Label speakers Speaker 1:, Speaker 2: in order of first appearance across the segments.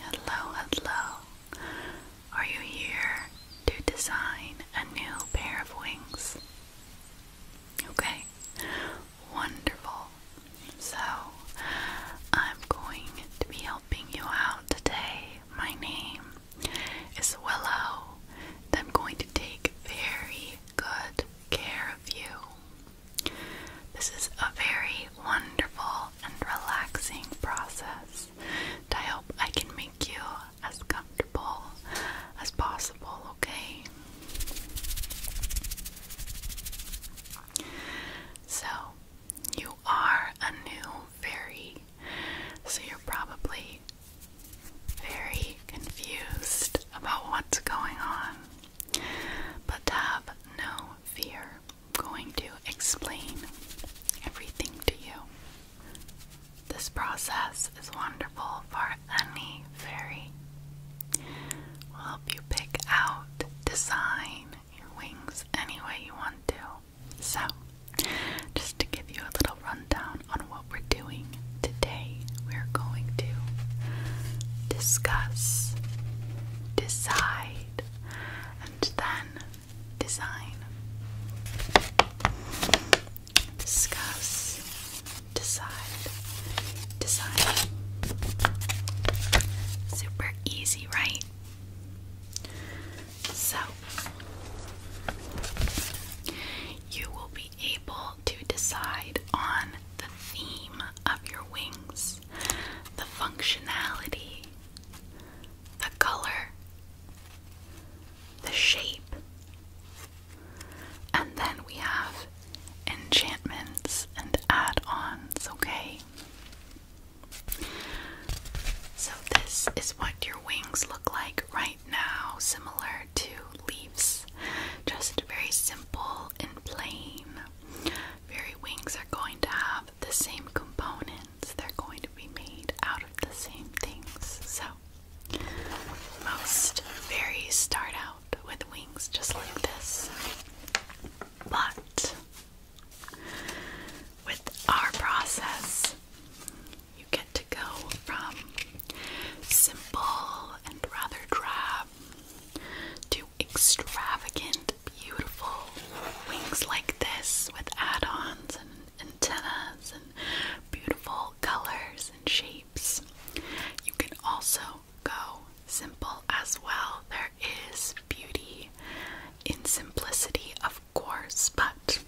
Speaker 1: hello, hello. Are you here to design a new pair of wings? Okay, wonderful. So, I'm going to be helping you out today. My name is Willow, I'm going to take very good care of you. This is a very wonderful and relaxing process I hope I can make you as comfortable as possible, okay? So, you are a new fairy, so you're probably very confused about what's going on. But have no fear. going to explain everything to you. This process is wonderful for any fairy. We'll help you pick out, design your wings any way you want to. So, just to give you a little rundown on what we're doing today, we're going to discuss decide, and then design. Discuss, decide, design. Super easy, right? So, you will be able to decide on the theme of your wings the functionality, the color, the shape. And then we have enchantments and add ons, okay? So, this is what your wings look like right now, similar to leaves, just very simple and plain. Very wings are going to have the same components. They're going to be made out of the same things. So, most fairies start out with wings just like this. But, with our process, you get to go from simple and rather drab to extravagant, beautiful wings like this with add-ons and antennas and beautiful colors and shapes. You can also go simple as well. There is beauty in simplicity, of course, but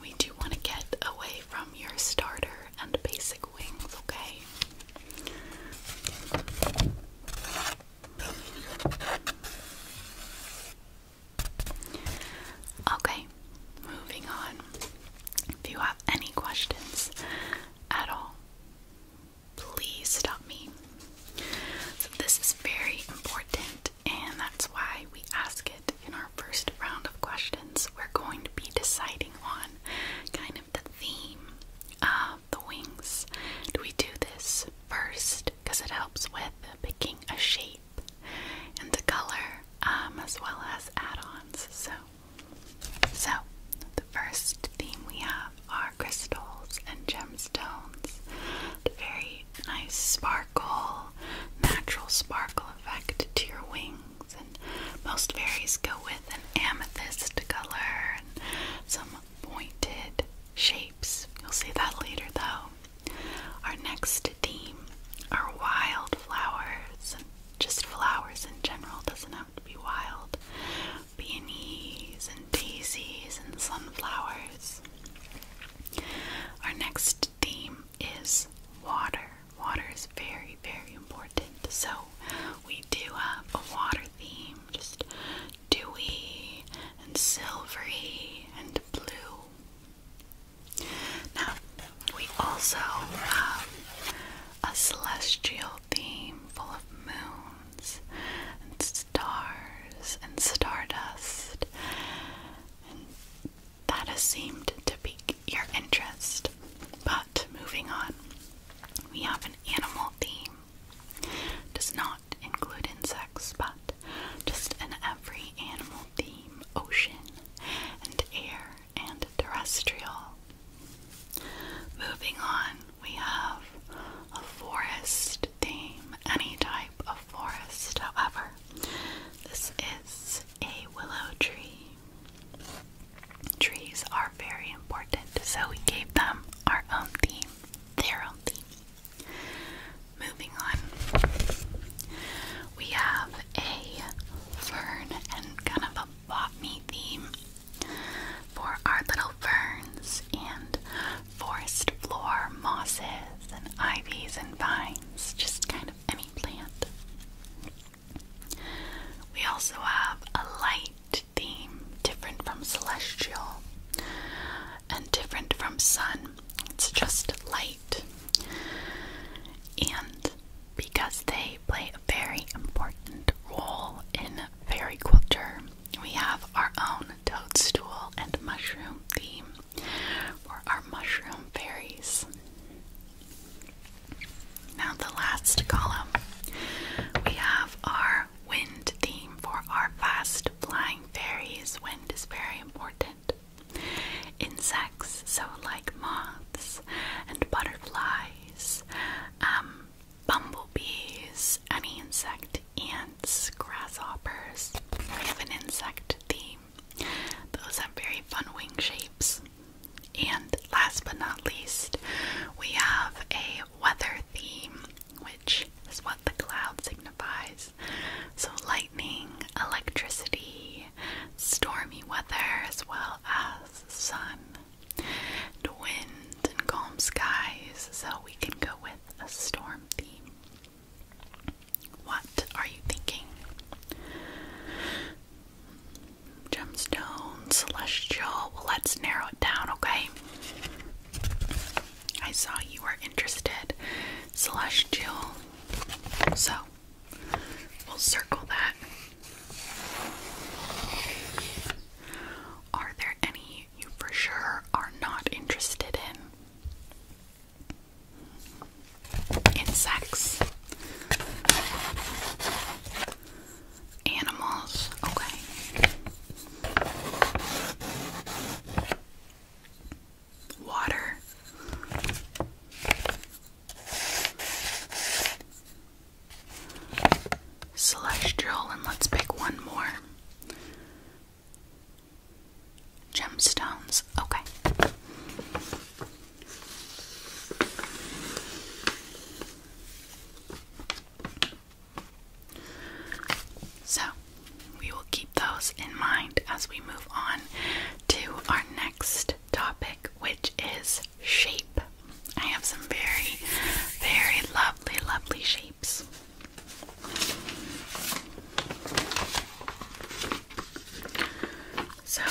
Speaker 1: we do want to get away from your starter and basic wings, okay? Okay, moving on. If you have any questions at all, please stop me. So, this is very important, and that's why we ask it in our first round of questions. We're going to be deciding on kind of the theme. Um, um, the wings. Do we do this first because it helps with picking a shape and the color um, as well as add-ons. So, so the first theme we have are crystals and gemstones. very nice sparkle, natural sparkle effect to your wings, and most fairies go with an amethyst color and some pointed shapes. You'll see that later though. Our next theme are wild flowers. Just flowers in general, doesn't have to be wild. Peonies and daisies and sunflowers. Our next theme is water. Water is very, very important. So we do have a water theme, just dewy and silvery and blue. Now, we also have a celestial theme full of moons and stars and stardust, that has seemed to pique your interest. But moving on, we have an animal theme does not include insects, but just an every animal theme ocean and air and terrestrial. Moving on, we have a forest theme, any type of forest, however. This is a willow tree. Trees are very important, so we gave them our own theme their Moving on, we have a fern and kind of a botany theme for our little ferns and forest floor mosses and ivies and vines, just kind of any plant. We also have a light theme, different from celestial and different from sun. It's just light. And because they play a very important role in fairy culture, we have our own toadstool and mushroom theme for our mushroom fairies. Now, the last column we have our wind theme for our fast flying fairies. Wind is very important. Insects, so like moths and butterflies, um, bumblebees, any insect, ants, grasshoppers. We have an insect theme. Those have very fun wing shapes. And last but not least, we have a weather theme which is what the cloud signifies. So, lightning, electricity, stormy weather, as well as sun, and wind, and calm skies. So, we can go with a storm theme. What are you thinking? Gemstone, celestial. Well, let's narrow it down, okay? I saw you were interested, Celestial. So we'll circle that. Are there any you for sure are not interested in? Insects. Animals. Okay. Water. Celestial, and let's pick one more. Gemstones, okay. So, we will keep those in mind as we move on to our next topic, which is shape. I have some very, very lovely, lovely shapes. So,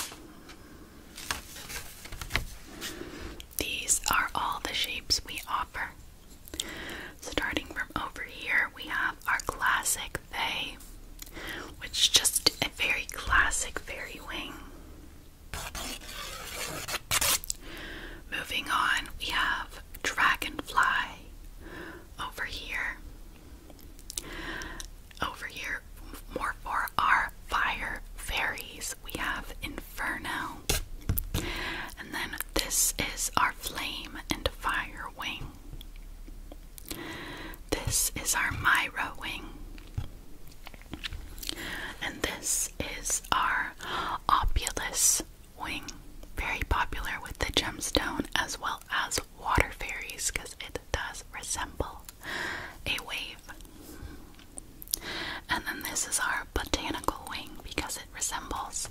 Speaker 1: these are all the shapes we offer. Starting from over here, we have our classic Faye, which is just a very classic fairy wing. Moving on, we have Dragonfly over here. Over here, more for our fire fairies, we have Inferno. And then this is our Flame and Fire wing. This is our Myra wing. And this is our Opulus wing. Very popular with the gemstone as well as water fairies because it does resemble a wave. And then this is our Botana because it resembles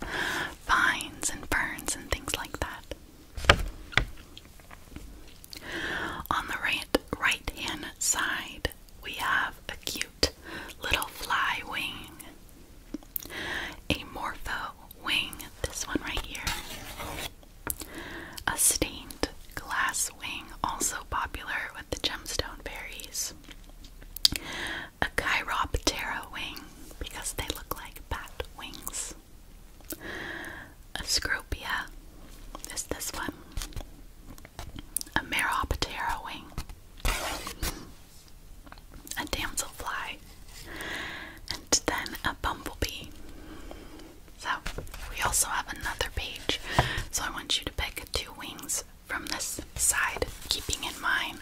Speaker 1: vines and ferns and things like that. On the right, right hand side, we have a cute little fly wing, a morpho wing, this one right here, a stained glass wing, also popular with the gemstone berries a Chiroptera wing because they look like bat wings. A scorpion is this one. A Meroptera wing. A damselfly. And then a bumblebee. So we also have another page. So I want you to pick two wings from this side, keeping in mind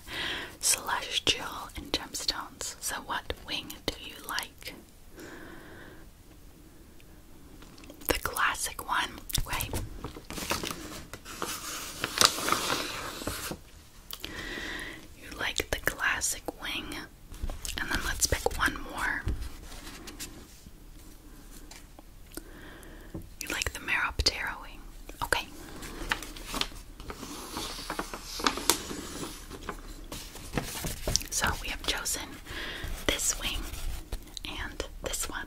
Speaker 1: celestial and gemstones. So, what wing do you like? The classic one, right? You like the classic wing, and then let's pick one more. You like the Meroptera wing? Okay. So we have chosen this wing and this one.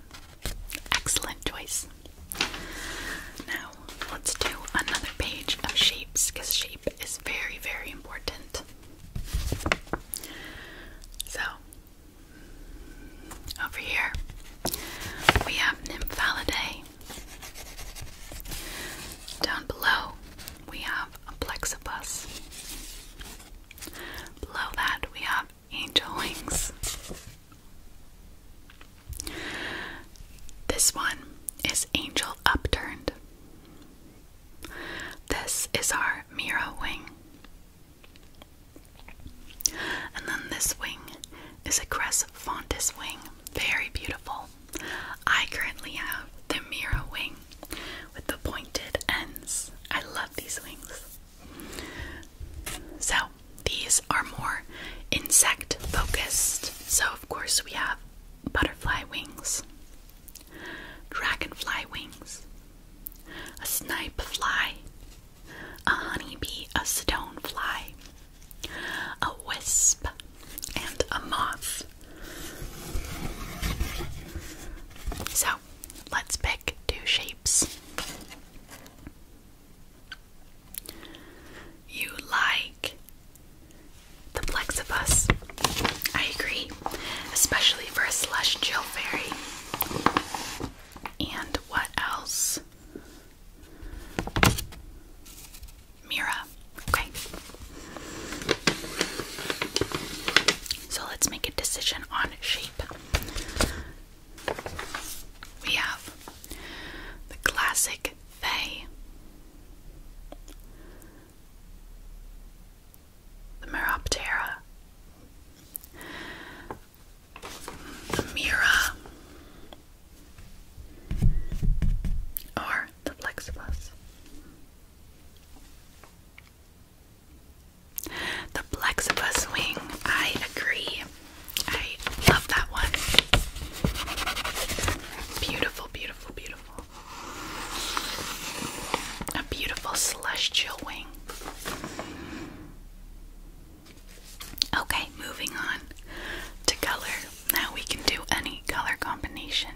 Speaker 1: Excellent choice. Now let's do another page of shapes because shape is very, very important. So over here we have Nymphalidae down below, we have a plexibus. Below that, we have angel wings. This one is angel upturned. This is our mirror wing. And then this wing is a crescent fontis wing. Very beautiful. I currently have the Mira wing with the pointed ends. I love these wings. So, these are more insect focused. So, of course, we have butterfly wings, dragonfly wings, a snipe fly, a honeybee, a stone fly, a wisp, and a moth. So let's pick two shapes. You like the plexibus. I agree, especially for a celestial fairy. And what else? Mira. Okay. So let's make a decision on shape. We have the classic Faye, the Meroptera, the Mira, or the plexibus. The plexibus wing, I agree. I love that one. Beautiful, beautiful, beautiful. A beautiful celestial wing. Okay, moving on to color. Now we can do any color combination.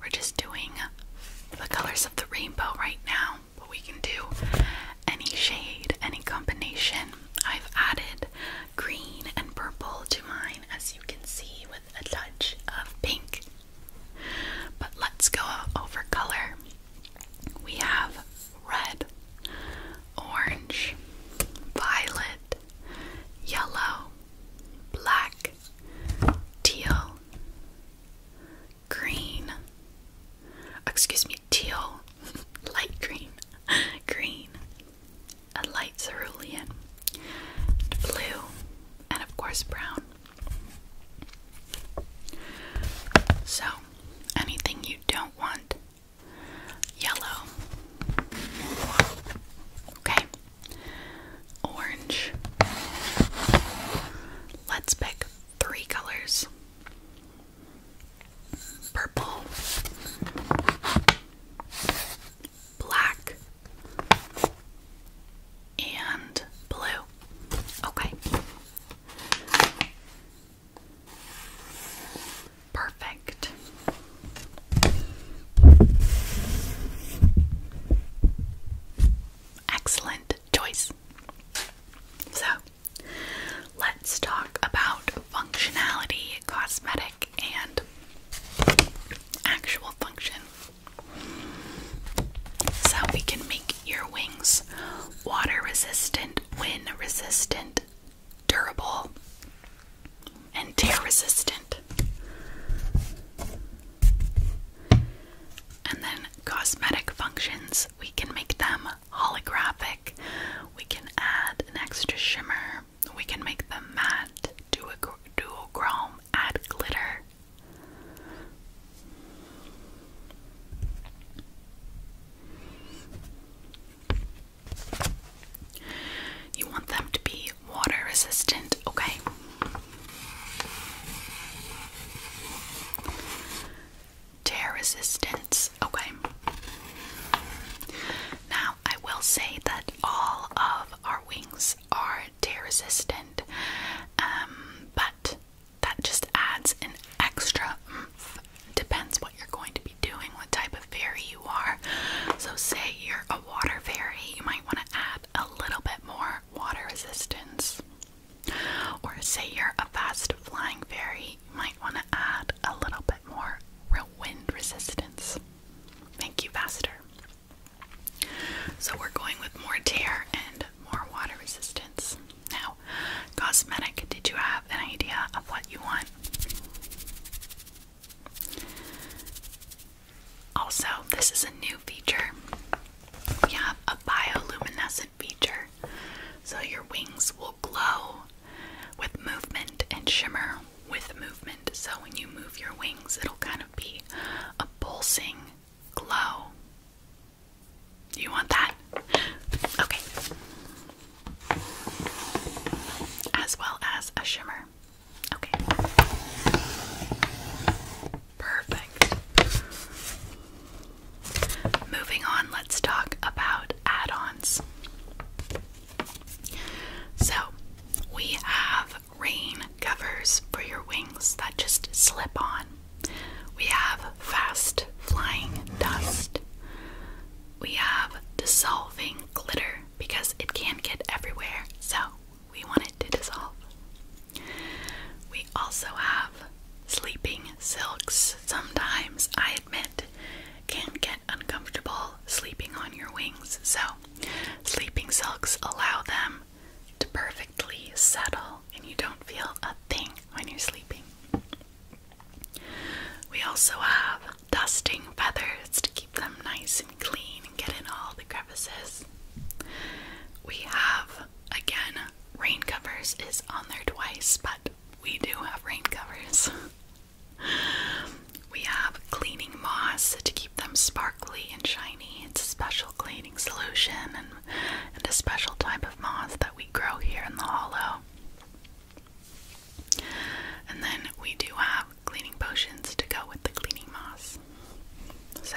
Speaker 1: We're just doing the colors of the rainbow right now, but we can do any shade, any combination. I've added green and purple to mine, as you can see, with a touch of pink. But let's go over color. We have red, orange, violet, yellow, black, teal, green, excuse me, teal, light green, green, a light cerulean, blue, and of course brown. So, anything you don't want yellow, okay, orange. Let's pick three colors purple, black, and blue. Okay. Perfect. Excellent choice. So, let's talk about functionality, cosmetic, and actual function. So, we can make your wings water resistant, wind resistant, durable, and tear resistant. And then cosmetic functions, we can make them holographic, we can add an extra shimmer, we can make them matte, Do a duochrome, add glitter. You want them to be water resistant, okay? Tear resistant okay? Now, I will say that all of our wings are tear resistant, um, but that just adds an extra Depends what you're going to be doing, what type of fairy so, say you're a water fairy, you might want to add a little bit more water resistance. Or, say you're a fast flying fairy, you might want to add a little bit more wind resistance. Make you faster. So, we're going with more tear and more water resistance. Now, cosmetic, did you have an idea of what you want? Also, this is a new feature. We have a bioluminescent feature, so your wings will glow with movement and shimmer with movement. So, when you move your wings, it'll kind of be a pulsing glow. You want that? Okay as well as a shimmer. Okay. Perfect. Moving on, let's talk about add ons. So, we have rain covers for your wings that just slip on. We have fast flying dust. We have dissolving glitter because it can get everywhere, so we want it to dissolve. We also have sleeping silks. Sometimes, I admit, can get uncomfortable sleeping on your wings, so sleeping silks allow them to perfectly settle and you don't feel a thing when you're sleeping. We also have dusting feathers to keep them nice and clean and get in all the crevices. We have again rain covers is on there twice, but we do have rain covers. we have cleaning moss to keep them sparkly and shiny. It's a special cleaning solution and, and a special type of moss that we grow here in the hollow. And then we do have cleaning potions to go with the cleaning moss. So.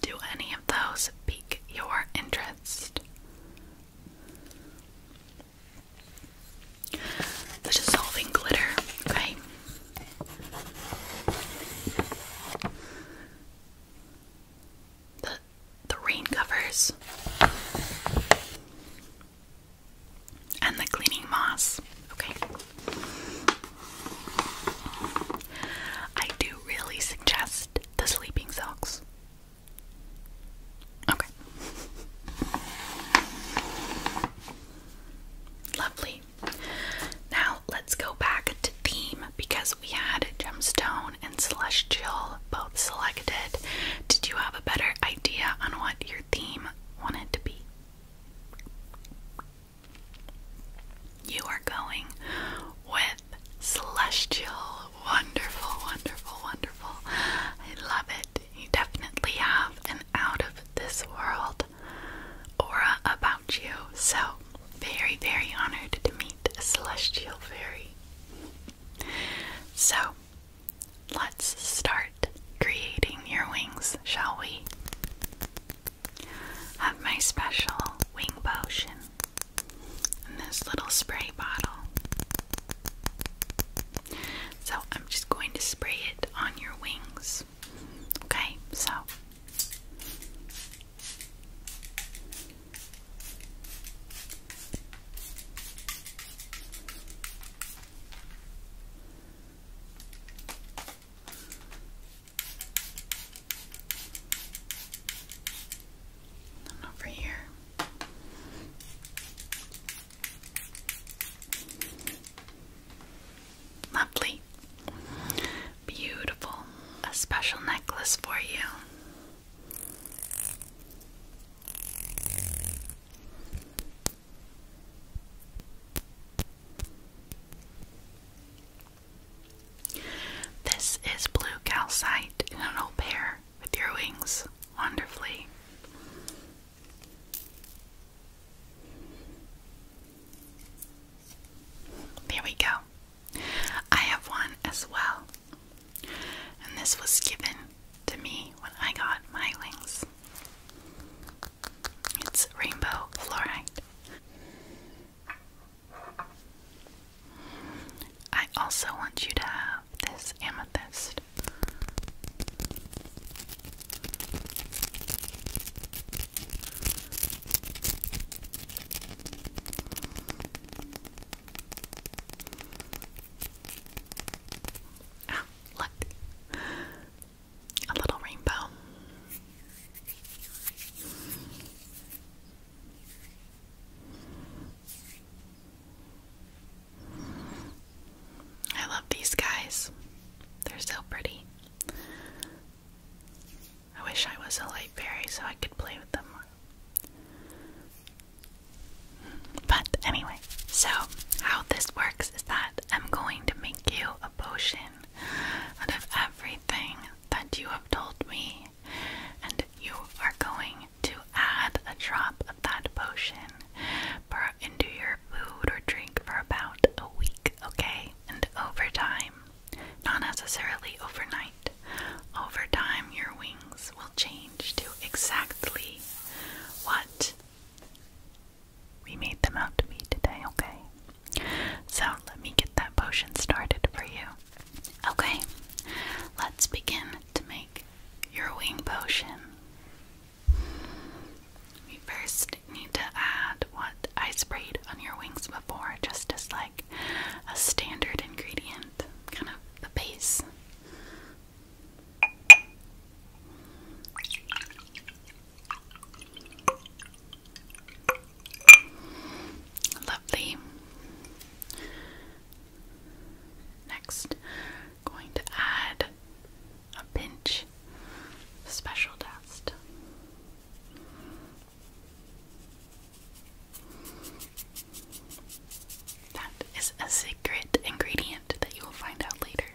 Speaker 1: Do any of those pique your interest? The dissolving glitter, okay? the the rain covers and the cleaning moss. Okay. I do really suggest the sleeping socks. Okay. Lovely. Now let's go back to theme because we had gemstone and celestial both selected. Did you have a better idea on what your theme wanted to be? You are going with celestial. Wonderful, wonderful, wonderful. I love it. You definitely have an out of this world aura about you. So very, very honored to meet a celestial fairy. So, let's start creating your wings, shall we? Have my special wing potion in this little spray bottle. So, I'm just going to spray it on your wings. Okay, so and over here. Lovely. Beautiful. A special necklace for you. This is blue calcite in an old pair with your wings wonderfully. There we go. I have one as well. And this was given to me when I got my wings. It's rainbow fluorite. I also want you to have this amethyst. Ah, look. A little rainbow. I love these guys. They're so pretty. I wish I was a light fairy so I could play with them But anyway, so how this works is that I'm going to make you a potion out of everything that you have told me, and you are going to add a drop of that potion into your food or drink for about a week, okay? And over time, not necessarily overnight. Over time, your wings will change to exactly what we made them out to be today, okay? So, let me get that potion started for you. Okay, let's begin to make your wing potion. We first need to add what I sprayed on your wings before, just as like a standard ingredient kind of the base. Lovely. Next, going to add a pinch of special dust. That is a secret ingredient that you will find out later.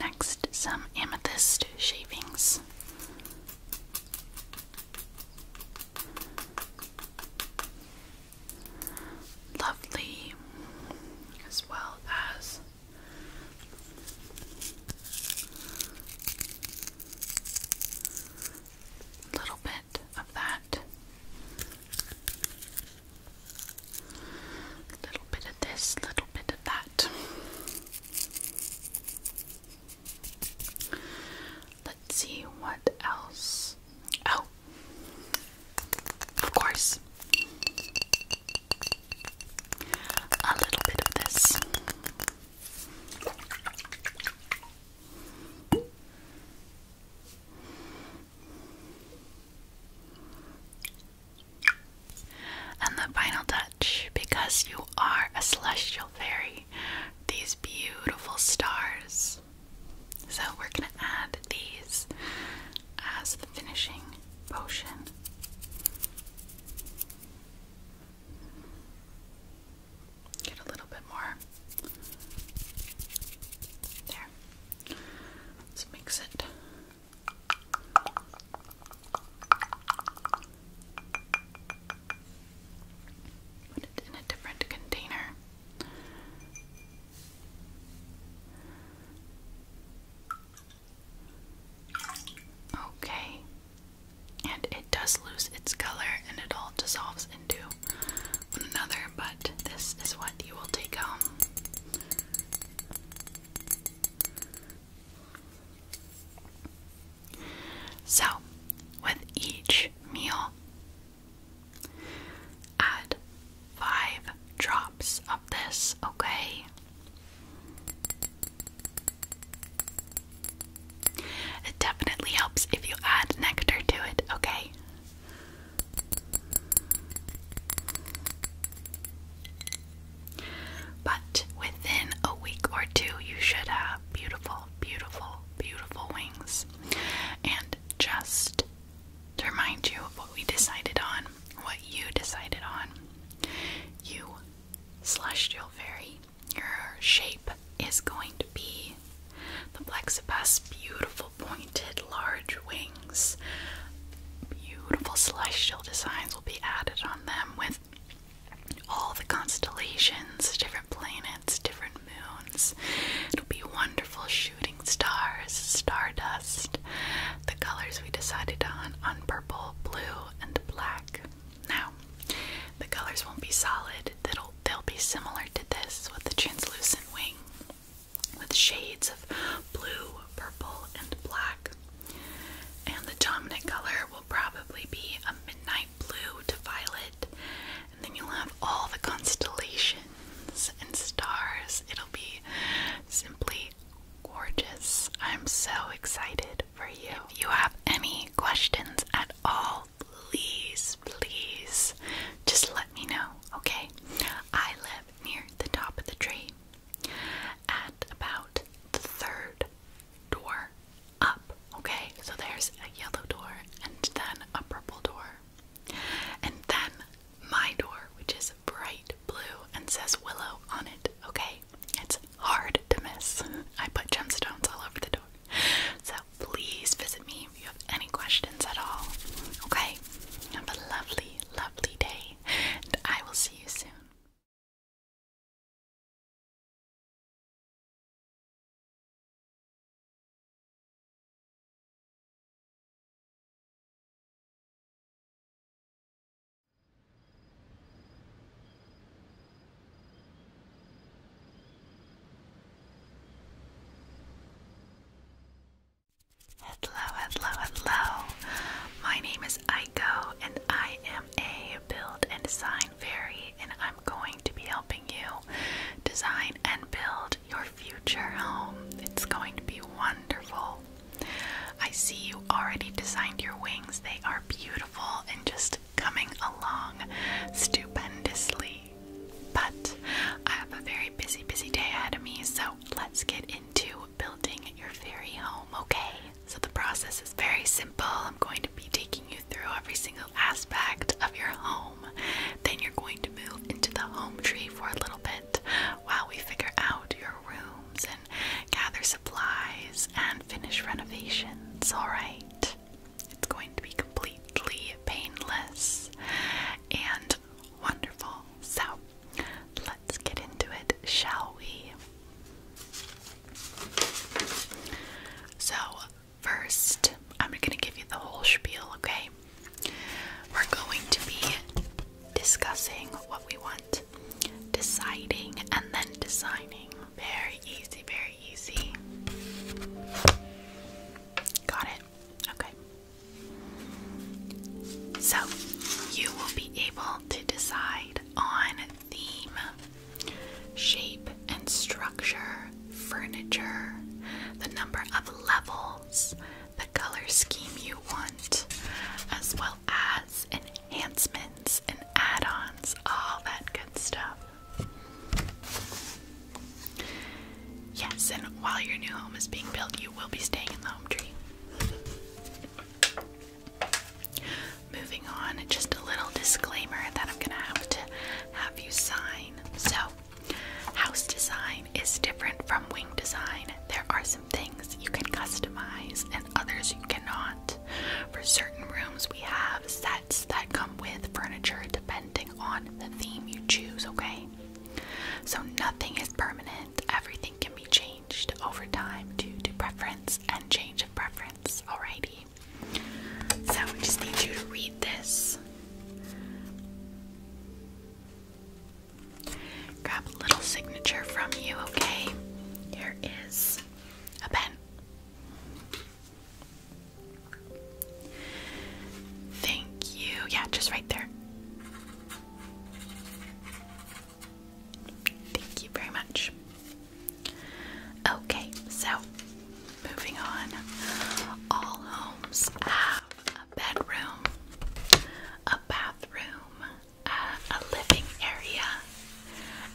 Speaker 1: Next, some amethyst shavings. Lovely, as well as a little bit of that, a little bit of this, a little bit of that. Let's see what else. Oh, of course. A little bit of this. And the final touch, because you are a celestial fairy, these beautiful stars. So we're going to add these as the finishing potion. Get a little bit more. There. Let's mix it. in a different container. Okay, and it does lose its color and it all dissolves into one another, but this is what you will take home. So, with each meal, add five drops of this, okay? It definitely helps if you add nectar to it, okay? But within a week or two, you should have beautiful, beautiful, beautiful wings. And just to remind you of what we decided on, what you decided on, you slash celestial fairy, your shape is going to be the Plexibus beautiful pointed large wings. Beautiful celestial designs will be added on them with all the constellations, different planets, different moons. It'll be wonderful shooting stars, stardust, the colors we decided on on purple, blue, and black. Now, the colors won't be solid, They'll they'll be similar to this with the translucent wing, with shades of blue, purple, and black. And the dominant color will probably be a midnight blue to violet, and then you'll have all the constellations and stars. It'll be simply gorgeous. I'm so excited for you. If you have any questions at all please, please just let me know, okay? I live near the top of the tree at about the third door up, okay? So there's a yellow door and then a purple door. And then my door, which is bright blue and says Willow on it, okay? It's hard to miss. I put gemstones all over the door. So please visit me if you have any questions at all. Okay? Have a lovely, lovely day, and I will see you soon. Hello, hello, hello. My name is Aiko, and I am a build and design fairy, and I'm going to be helping you design and build your future home. It's going to be wonderful. I see you already designed your wings, they are beautiful and just coming along stupendously. But I have a very busy, busy day ahead of me, so let's get into building your fairy home, okay? So the process is very simple. I'm going to be taking you through every single aspect of your home. Then you're going to move into the home tree for a little bit while we figure out your rooms and gather supplies and finish renovations, alright? It's going to be completely painless and wonderful. So, let's get into it, shall we? So, first, I'm going to give you the whole spiel, okay? We're going to be discussing what we want, deciding, and then designing. Very easy, very easy. Got it? Okay. So, you will be able to decide on theme, shape and structure, furniture, the number of levels, the color scheme you want, as well as enhancements and add ons, all that good stuff. Yes, and while your new home is being built, you will be staying in the home tree. Moving on, just a little disclaimer that I'm gonna have to have you sign. So, house design is different from wing design. There are some things you can customize and others you cannot. For certain rooms, we have sets that come with furniture depending on the theme you choose, okay? So nothing is permanent, everything can be changed over time due to preference and change of preference, alrighty? So I just need you to read this. Grab a little signature from you, okay? Here is a pen. Thank you. Yeah, just right there. Thank you very much. Okay, so moving on. All homes have a bedroom, a bathroom, a living area,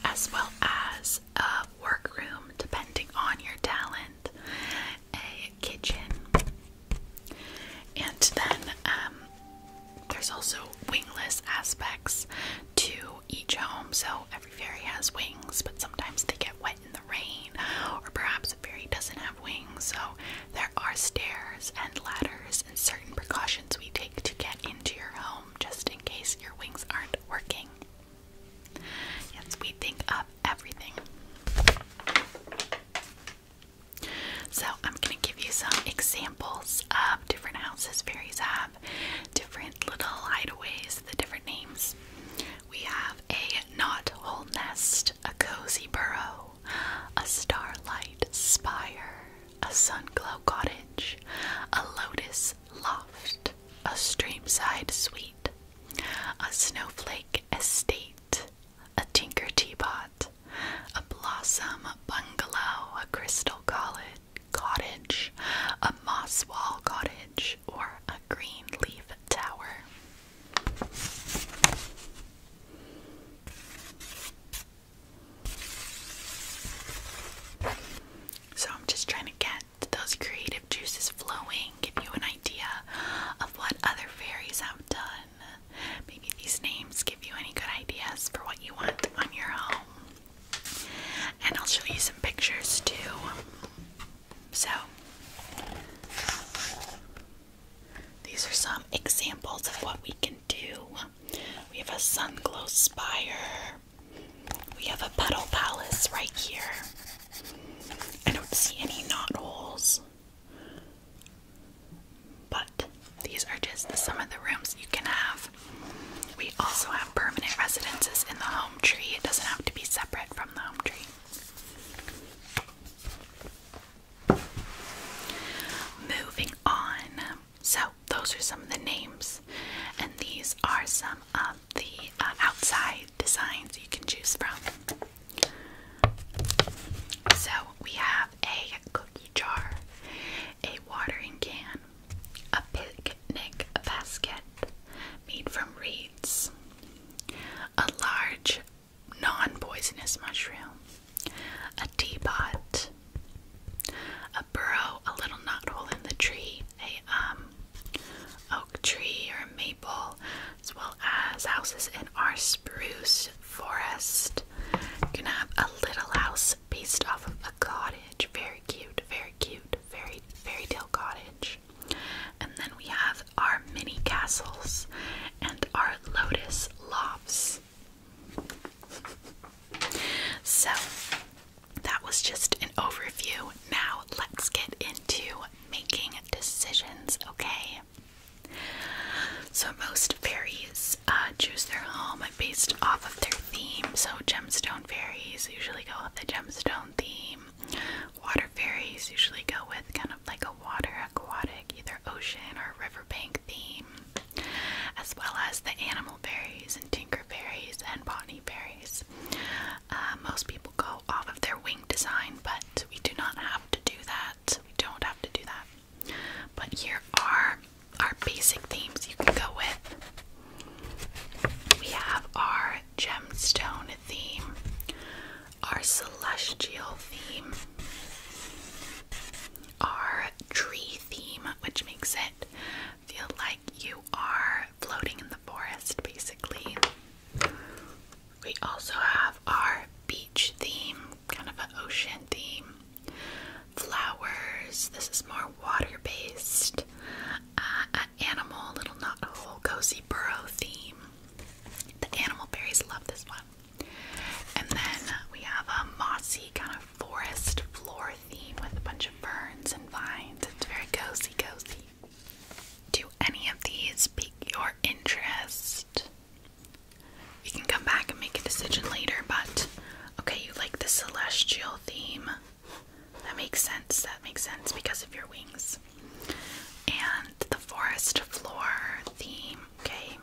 Speaker 1: as well as a workroom, depending on your talent, a kitchen, and then um, there's also wingless aspects to each home. So every fairy has wings, but sometimes they get wet in the rain, or perhaps a fairy doesn't have wings. So there are stairs and ladders and certain precautions we take to get into your home just in case your wings aren't working. Yes, we think of everything. So, I'm going to give you some examples of different houses fairies have, different little hideaways, the different names. We have a knot hole nest, a cozy burrow, a starlight spire, a sun glow cottage, a lotus loft, a streamside suite, a snowflake estate, a tinker teapot, a blossom bungalow, a crystal cottage, a moss wall cottage, or a green leaf tower. So I'm just trying to get get those creative juices flowing, give you an idea of what other fairies have done. Maybe these names give you any good ideas for what you want on your home. And I'll show you some pictures too. So, these are some examples of what we can do. We have a sun glow spire, we have a petal palace right here. I don't see any knot holes. But these are just some of the rooms you can have. We also have permanent residences in the home tree. It doesn't have to be separate from the home tree. Moving on. So, those are some of the names, and these are some of the uh, outside designs you can choose from. So we have a cookie jar, a watering can, a picnic basket made from reeds, a large non poisonous mushroom, a teapot, a burrow, a little knothole in the tree, a um, oak tree or a as well as houses in our spruce forest. You're gonna have a little house based off of a cottage. Very cute, very cute, very fairy tale cottage. And then we have our mini castles and our lotus lofts. So that was just an overview. Now let's get into making decisions, okay? So, most fairies uh, choose their home based off of their theme. So, gemstone fairies usually go with the gemstone theme. Water fairies usually go with kind of like a water aquatic, either ocean or riverbank theme, as well as the animal fairies and tinker fairies and botany fairies. Uh, most people go off of their wing design, but we do not have to do that. We don't have to do that. But here are our basic themes you can go with. We have our gemstone theme, our celestial theme, our tree theme, which makes it feel like you are floating in the forest, basically. We also have our beach theme, kind of an ocean theme. Flowers, this is more water based. Uh, animal, little not a whole cozy burrow theme. The animal berries love this one. And then we have a mossy kind of forest floor theme with a bunch of ferns and vines. It's very cozy, cozy. Do any of these pique your interest? You can come back and make a decision later, but okay, you like the celestial theme. That makes sense. That makes sense because of your wings. And the forest floor theme, okay,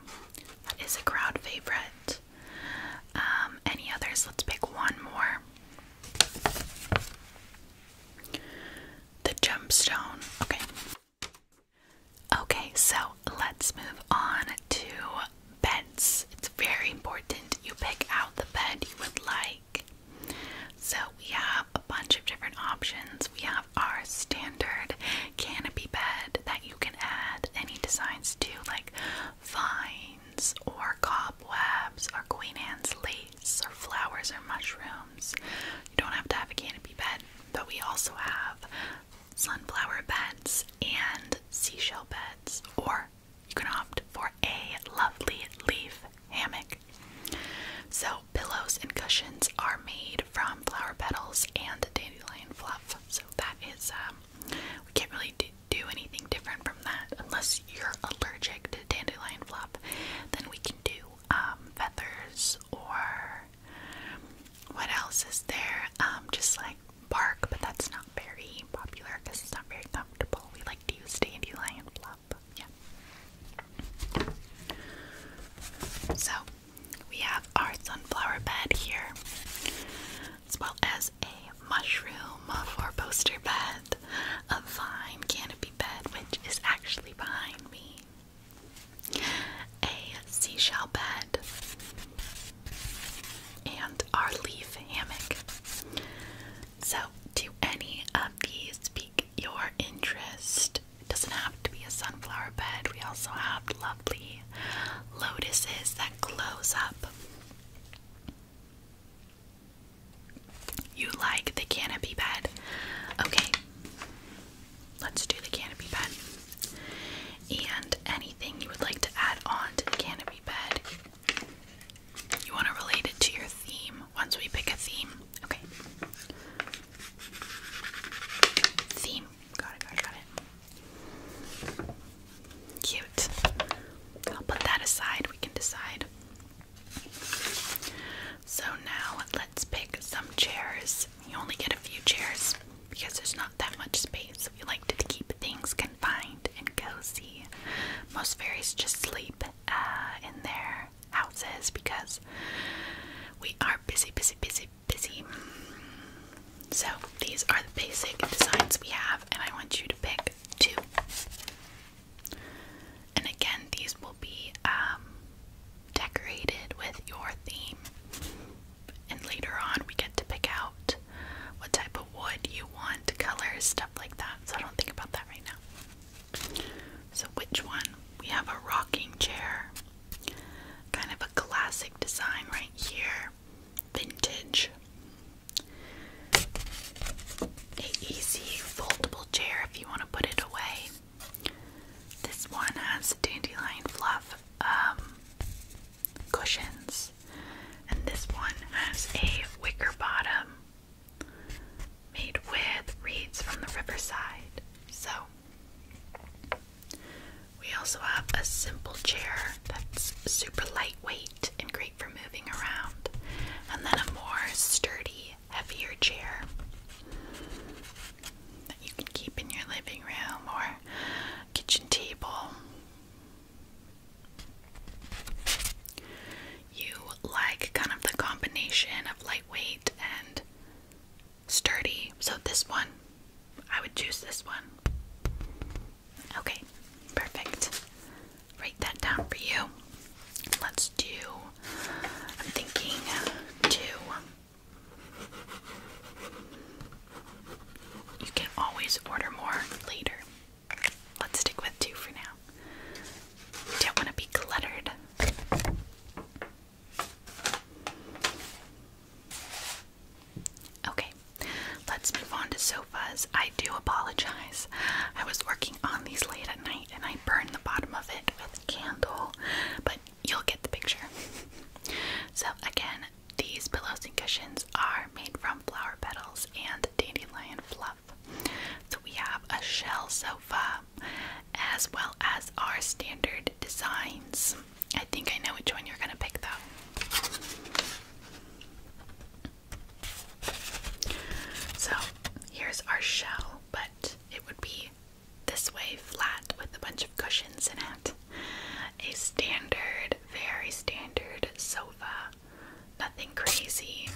Speaker 1: that is a crowd favorite. Um, any others? Let's pick one more the gemstone. Okay. Okay, so let's move on to beds. It's very important you pick out the bed you would like. So we have a bunch of different options. We have our standard canopy bed that you can add any designs to, like vines or cobwebs or Queen Anne's lace or flowers or mushrooms. You don't have to have a canopy bed, but we also have sunflower beds and seashell beds, or you can opt for a lovely leaf hammock. So, pillows and cushions are made from flower petals and dandelion fluff. So, that is, um, we can't really do anything different from that unless you're allergic to dandelion fluff. Then we can do um, feathers or what else is there? Um, just like bark, but that's not very popular because it's not very comfortable. We like to use dandelion fluff. Yeah. So we have our sunflower bed here, as well as a mushroom for poster bed a vine canopy bed, which is actually behind me. A seashell bed and our leaf hammock. So, do any of these pique your interest? It doesn't have to be a sunflower bed. We also have lovely lotuses that close up. You like the canopy bed? Okay, let's do the canopy bed. And anything you would like to add on to the canopy bed, you want to relate it to your theme once we pick a theme. Okay. Theme. Got it, got it, got it. Cute. I'll put that aside. We can decide. So now let's pick some chairs. You only get a few chairs because there's not that much space. We like to keep things confined and cozy. Most fairies just sleep uh, in their houses because we are busy, busy, busy, busy. So these are the basic designs we have, and I want you to pick two. And again, these will be um, decorated with your theme. And later on, we get to pick out what type of wood you want, colors, stuff like that. So I don't think about that right now. So, which one? We have a rocking chair. Kind of a classic design right here. Vintage. A easy foldable chair if you want to put it away. This one has dandelion fluff um, cushions, and this one has a wicker bottom made with reeds from the riverside. So, we also have a simple chair that's super lightweight and great for moving around, and then a more sturdy heavier chair that you can keep in your living room or kitchen table. You like kind of the combination of lightweight and sturdy, so this one, I would choose this one. Okay, perfect. Write that down for you. Let's just I'm thinking two. You can always order more later. Let's stick with two for now. don't want to be cluttered. Okay, let's move on to sofas. I do apologize. I was working on these late at night and I burn the bottom of it with a candle, but you'll get the picture. so, again, these pillows and cushions are made from flower petals and dandelion fluff. So, we have a shell sofa as well as our standard designs. I think I know which one you're going to pick though. So, here's our shell, but it would be this way flat with a bunch of cushions in it. A standard, very standard sofa, nothing crazy.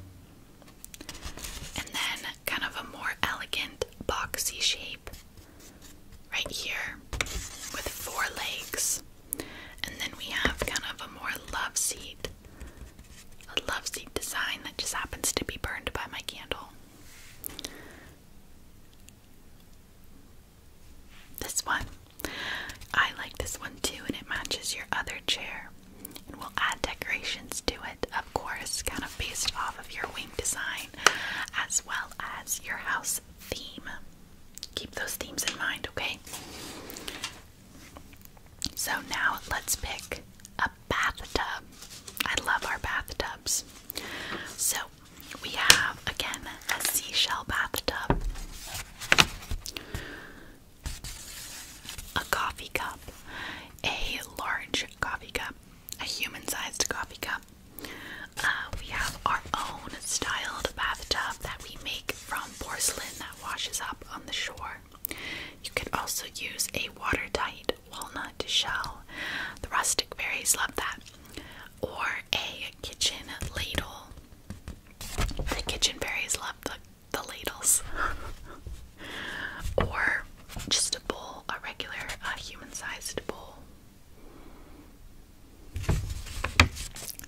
Speaker 1: And then kind of a more elegant, boxy shape right here with four legs. And then we have kind of a more love seat a love seat design that just happens to be burned by my candle. This one. I like this one too, and it matches your other chair. And we'll add decorations to it, of course, kind of based off of your wing design as well as your house theme. Keep those themes in mind, okay? So now let's pick up a bathtub. I love our bathtubs. So we have again a seashell bathtub, a coffee cup, a large coffee cup, a human sized coffee cup. Uh, we have our own styled bathtub that we make from porcelain that washes up on the shore. You could also use a watertight walnut shell. The rustic berries love that. Or a kitchen ladle. The kitchen berries love the, the ladles. or just a bowl, a regular uh, human sized bowl.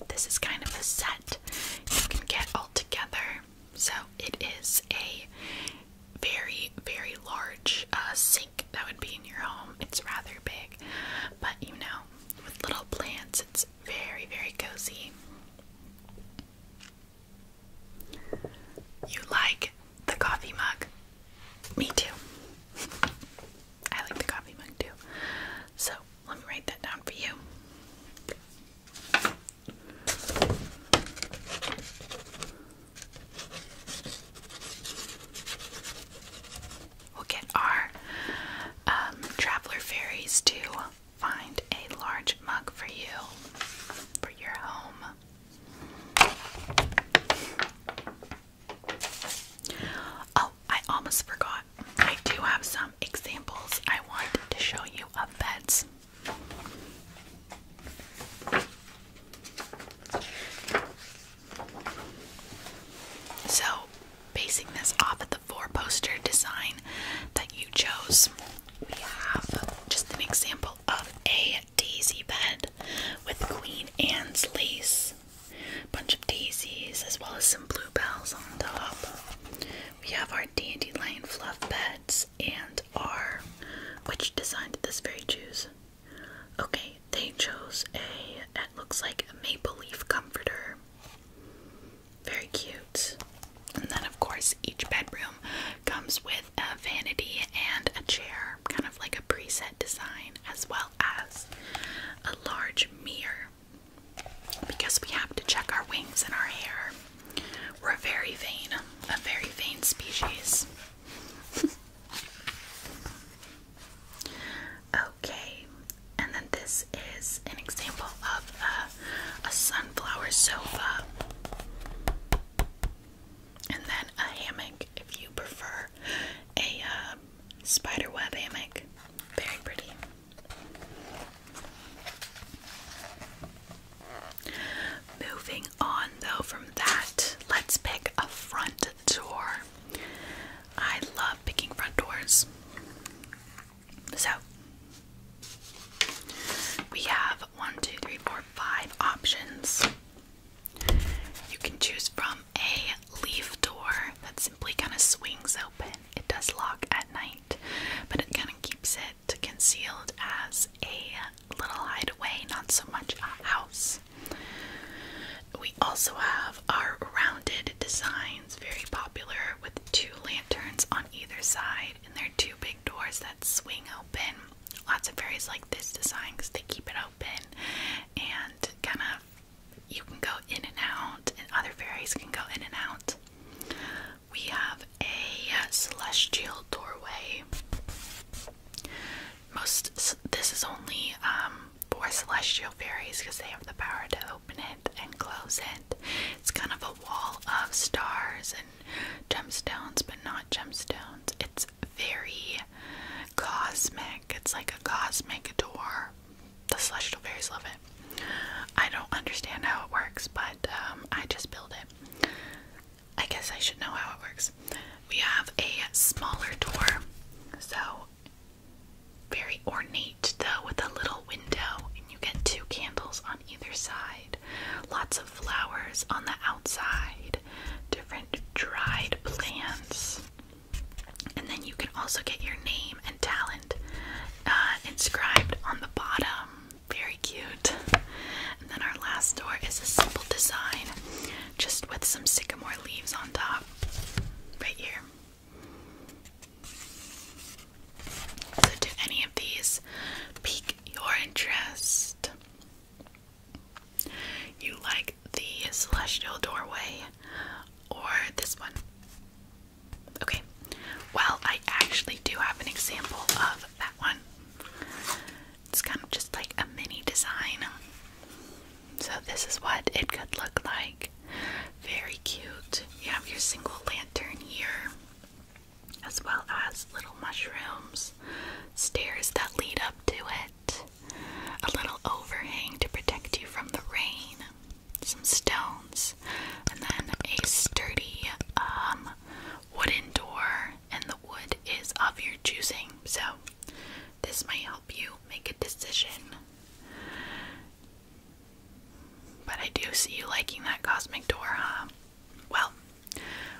Speaker 1: This is kind of a set you can get all together. So it is a very, very large uh, sink that would be in your home. It's rather big, but you know, with little plants, it's very, very cozy. You like the coffee mug? Me too. I like the coffee mug too. So let me write that down for you. We'll get our um, traveler fairies to find a large mug for you, for your home. Oh, I almost forgot. I do have some examples I want to show you of beds. So, basing this off of the four poster design that you chose, we have just an example of a daisy bed with Queen Anne's lace, a bunch of daisies, as well as some bluebells on top. We have our dandelion fluff beds and are which design did this fairy choose? Okay, they chose a that looks like a maple leaf comforter. Very cute. And then of course each bedroom comes with a vanity and a chair, kind of like a preset design, as well as a large mirror. Because we have to check our wings and our hair. We're very vain, a very vain species okay, and then this is an example of a, sunflower sofa. And then a hammock if you prefer a uh, um, spiderweb hammock. Very pretty. Moving on though from that, let's pick a front door. I love picking front doors. So we have one, two, three, four, five options. You can choose from a leaf door that simply kind of swings open. It does lock at night, but it kind of keeps it concealed as a little hideaway, not so much a house. We also have our rounded designs, very popular with two lanterns on either side, and there are two big doors that swing open. Lots of fairies like this design because they keep it open and kind of you can go in and out, and other fairies can go in and out. We have a celestial doorway most this is only um, for celestial fairies because they have the power to open it and close it. It's kind of a wall of stars and gemstones, but not gemstones. It's very cosmic. It's like a cosmic door. The celestial fairies love it. I don't understand how it works, but um, I just build it. I guess I should know how it works. We have a smaller door, so very ornate though, with a little window, and you get two candles on either side, lots of flowers on the outside, different dried plants, and then you can also get your name and talent uh, inscribed on the bottom. Very cute then our last door is a simple design, just with some sycamore leaves on top, right here. So, do any of these pique your interest? You like the celestial doorway or this one? Okay, well, I actually do have an example of that one. It's kind of just like a mini design. So, this is what it could look like. Very cute. You have your single lantern here, as well as little mushrooms, stairs that lead up to it, a little overhang to protect you from the rain, some stones, and then a sturdy um, wooden door, and the wood is of your choosing. So, this might help you make a decision. But I do see you liking that cosmic door, Well,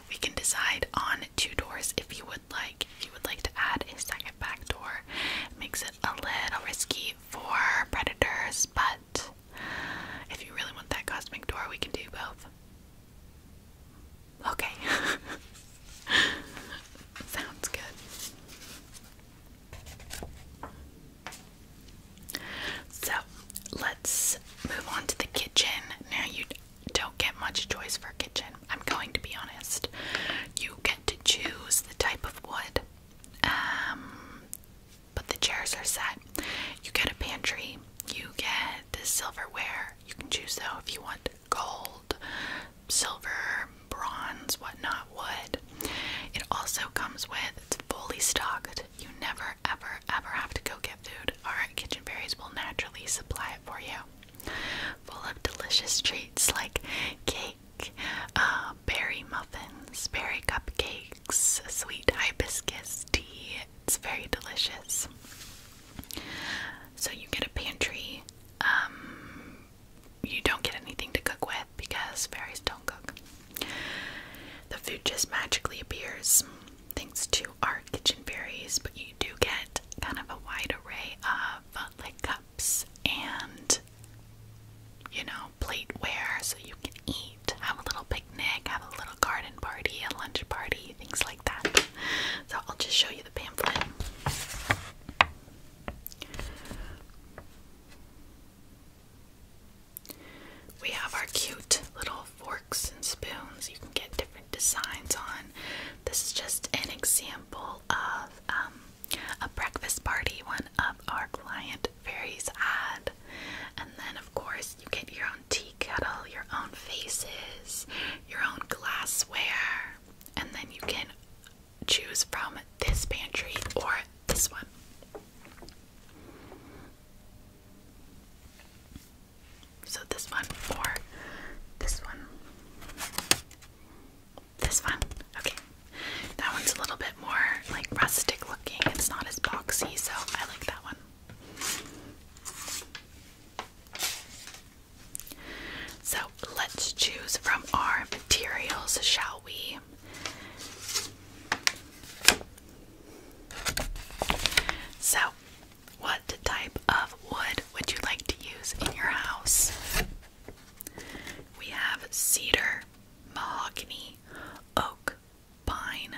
Speaker 1: we can decide on two doors if you would like. If you would like to add a second back door, makes it a little risky for predators, but if you really want that cosmic door, we can do both. Okay. Sounds good. So let's move on to the kitchen. Now, you don't get much choice for kitchen, I'm going to be honest. You get to choose the type of wood, um, but the chairs are set. You get a pantry, you get silverware, you can choose though if you want gold, silver, bronze, whatnot, wood. It also comes with it's fully stocked. You never ever ever have to go get food. Our kitchen berries will naturally supply it for you. Full of delicious treats like cake, uh, berry muffins, berry cupcakes, sweet hibiscus tea. It's very delicious. So you get a pantry. Um, you don't get anything to cook with because fairies don't cook. The food just magically appears thanks to our kitchen fairies, but you do get kind of a wide array of like cups and you know, plateware so you can eat, have a little picnic, have a little garden party, a lunch party, things like that. So I'll just show you the pamphlet. We have our cute little forks and spoons you can get different designs on. This is just an example of um, a breakfast party one of our client fairies had. And then, of course, you get your own tea kettle, your own faces, your own glassware, and then you can choose from this pantry or this one. So, this one or this one. This one. Okay. That one's a little bit more like rustic looking. It's not as boxy, so I like that one. So let's choose from our materials, shall we? So, what type of wood would you like to use in your house? We have cedar, mahogany, oak, pine,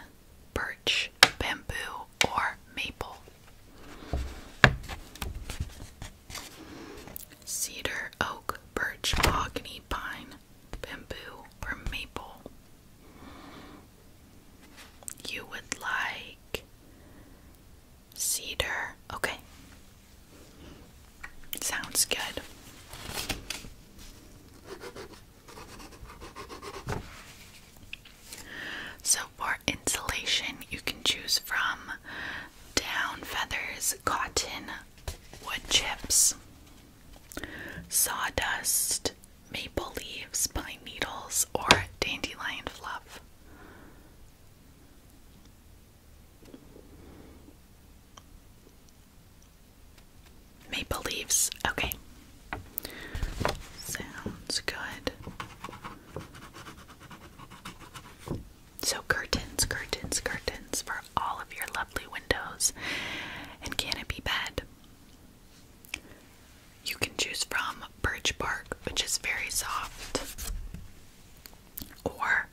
Speaker 1: birch, bamboo, or maple. Cedar, oak, birch, mahogany, pine, bamboo, or maple. You would like cedar. Okay. Sounds good. So, for insulation, you can choose from down feathers, cotton, wood chips, sawdust, maple leaves, pine needles, or dandelion fluff. Maple leaves. Okay. Sounds good. So, curtains, curtains, curtains for all of your lovely windows and canopy bed. You can choose from birch bark, which is very soft, or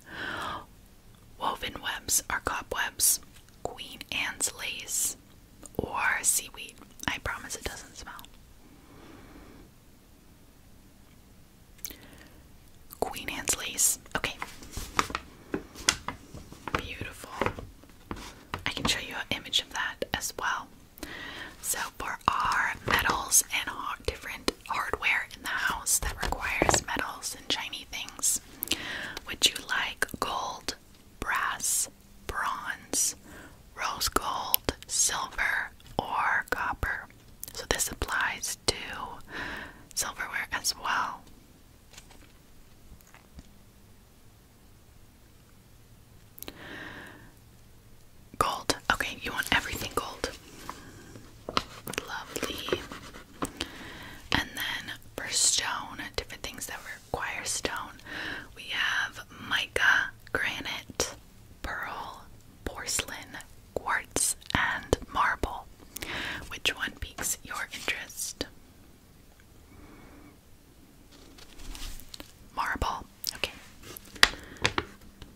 Speaker 1: woven webs or cobwebs, Queen Anne's lace, or seaweed. I promise it doesn't smell. Queen Anne's lace. Okay. Beautiful. I can show you an image of that as well. So, for our metals and different hardware in the house that requires metals and shiny things, would you like gold, brass, bronze, rose gold, silver, or copper. So this applies to silverware as well. Gold. Okay, you want everything gold. Lovely. And then for stone, different things that require stone, we have mica, granite, pearl, porcelain, quartz, and marble. Which one piques your interest? Marble. Okay.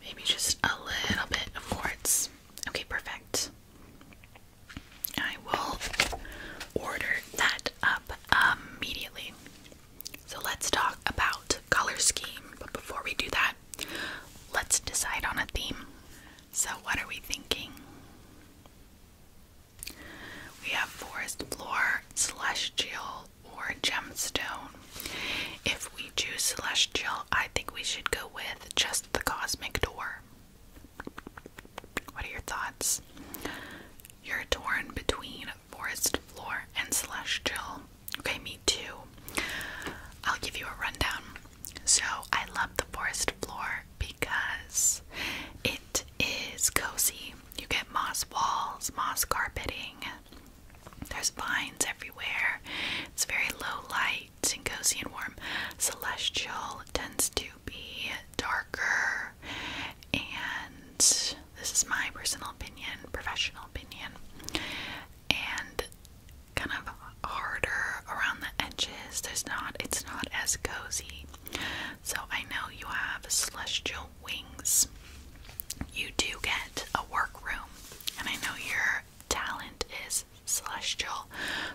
Speaker 1: Maybe just a little bit of quartz. Okay, perfect. I will order that up immediately. So let's talk about color scheme, but before we do that, let's decide on a theme. So, what are we thinking? We have forest floor, celestial, or gemstone. If we choose celestial, I think we should go with just the cosmic door. What are your thoughts? You're torn between forest floor, and celestial. Okay, me too. I'll give you a rundown. So, I love the forest floor because it is cozy. You get moss walls, moss carpeting, there's vines everywhere. It's very low light and cozy and warm. Celestial tends to be darker and this is my personal opinion, professional opinion, and kind of harder around the edges. There's not, it's not as cozy. So I know you have celestial wings. You do get a work room, and I know your talent is celestial,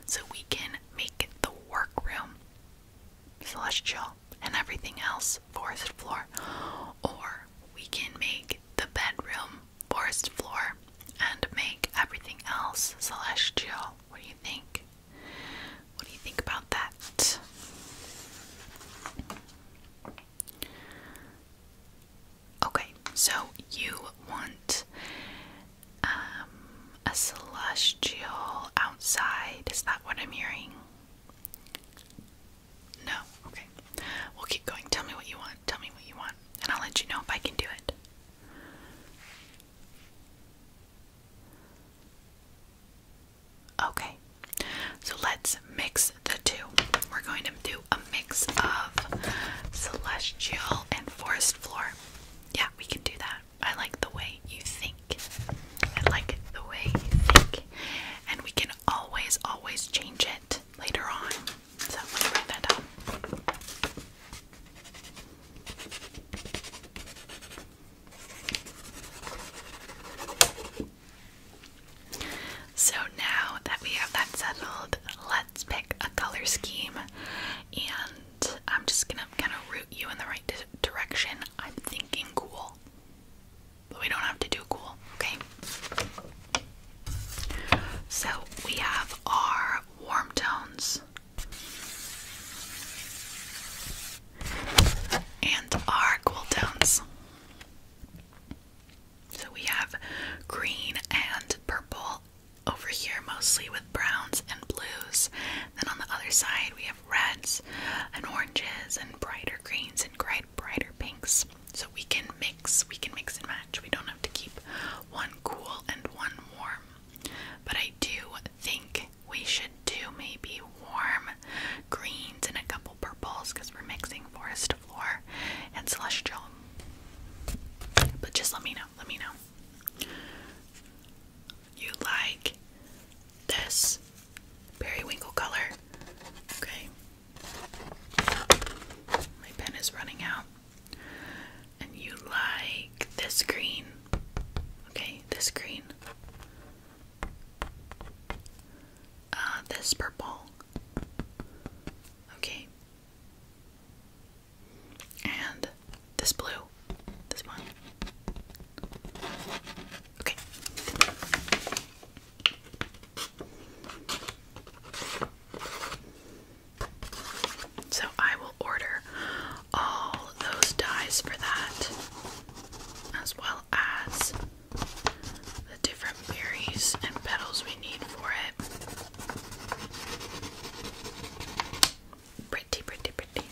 Speaker 1: so we can make the work room celestial and everything else forest floor or we can make the bedroom forest floor and make everything else celestial. What do you think? What do you think about that? Okay, so you want um, a celestial outside. Is that what I'm hearing? No? Okay. We'll keep going. Tell me what you want. Tell me what you want. And I'll let you know if I can do it. Okay. So let's mix the two. We're going to do a mix of celestial and forest floor. Yeah, we can do that. I like the way you think. I like the way you think. And we can always, always change it later on. So let me write that down. So now that we have that settled, let's pick a color scheme. And I'm just gonna kind of route you in the right direction. I'm thinking cool but we don't have to do cool, okay? So we have our warm tones and our cool tones. So we have green and purple over here, mostly with browns and blues. Then on the other side, we have reds and oranges and brighter greens and brighter pinks so we can mix, we can mix and match. We don't have to keep one cool and one warm. But I do think we should do maybe warm greens and a couple purples because we're mixing forest floor and celestial. But just let me know, let me know. You like this periwinkle color? Okay, my pen is running out. And you like this green. Okay, this green. Uh, this purple. Okay. And this blue. This one. Okay. So I will order all those dies for that, as well as the different berries and petals we need for it. Pretty, pretty, pretty.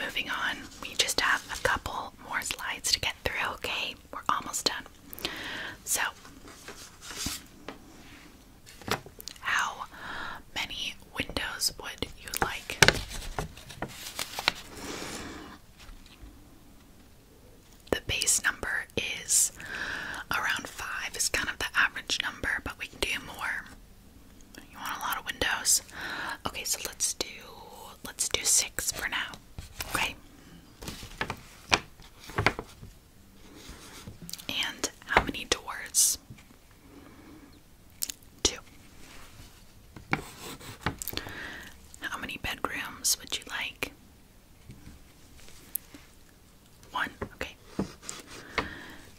Speaker 1: Moving on, we just have a couple more slides to get through, okay? we're almost done. So, how many windows would you like? The base number is around five, it's kind of the average number, but we can do more. You want a lot of windows? Okay, so let's do let's do six for now. Okay. And how many doors? Two. How many bedrooms would you like? One. Okay.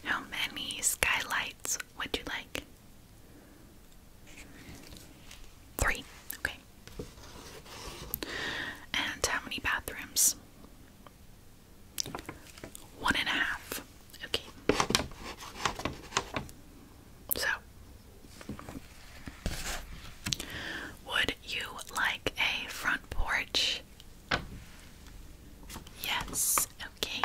Speaker 1: How many skylights would you like? Three. Okay. And how many bathrooms? One and a half. Okay. So, would you like a front porch? Yes, okay.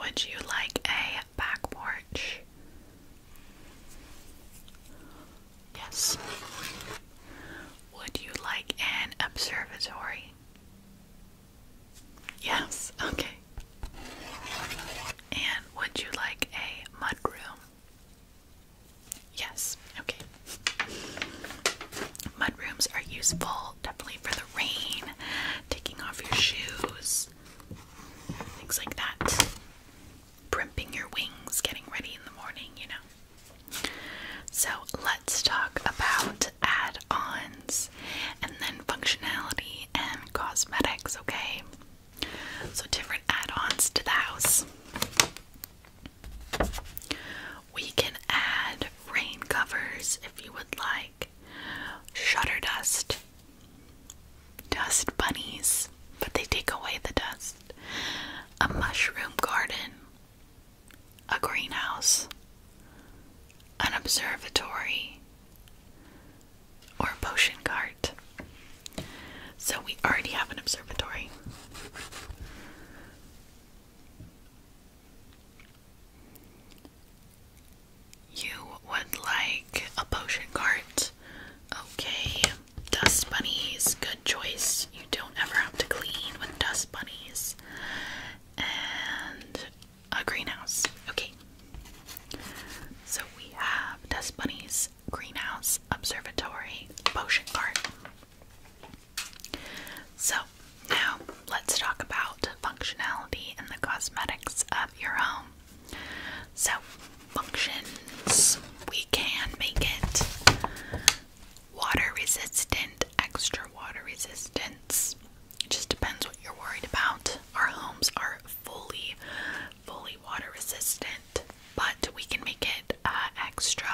Speaker 1: Would you like a back porch. Yes. Would you like an observatory? Yes, okay. And would you like a mudroom? Yes, okay. Mudrooms are useful definitely for the rain, taking off your shoes things like that. Primping your wings, getting ready in the morning, you know. So let's talk about add ons and then functionality and cosmetics, okay? So, different add ons to the house. We can add rain covers if you would like, shutter dust Dust bunnies, but they take away the dust. A mushroom garden, a greenhouse, an observatory, or potion cart. So we already have an observatory. You would like a potion cart. Okay, dust bunnies, good choice. You don't ever have to clean with dust bunnies. And a greenhouse. Okay. So we have dust bunnies, greenhouse, observatory, potion cart. So now let's talk about functionality and the cosmetics your own. So, functions we can make it water resistant, extra water resistance. It just depends what you're worried about. Our homes are fully, fully water resistant, but we can make it uh, extra.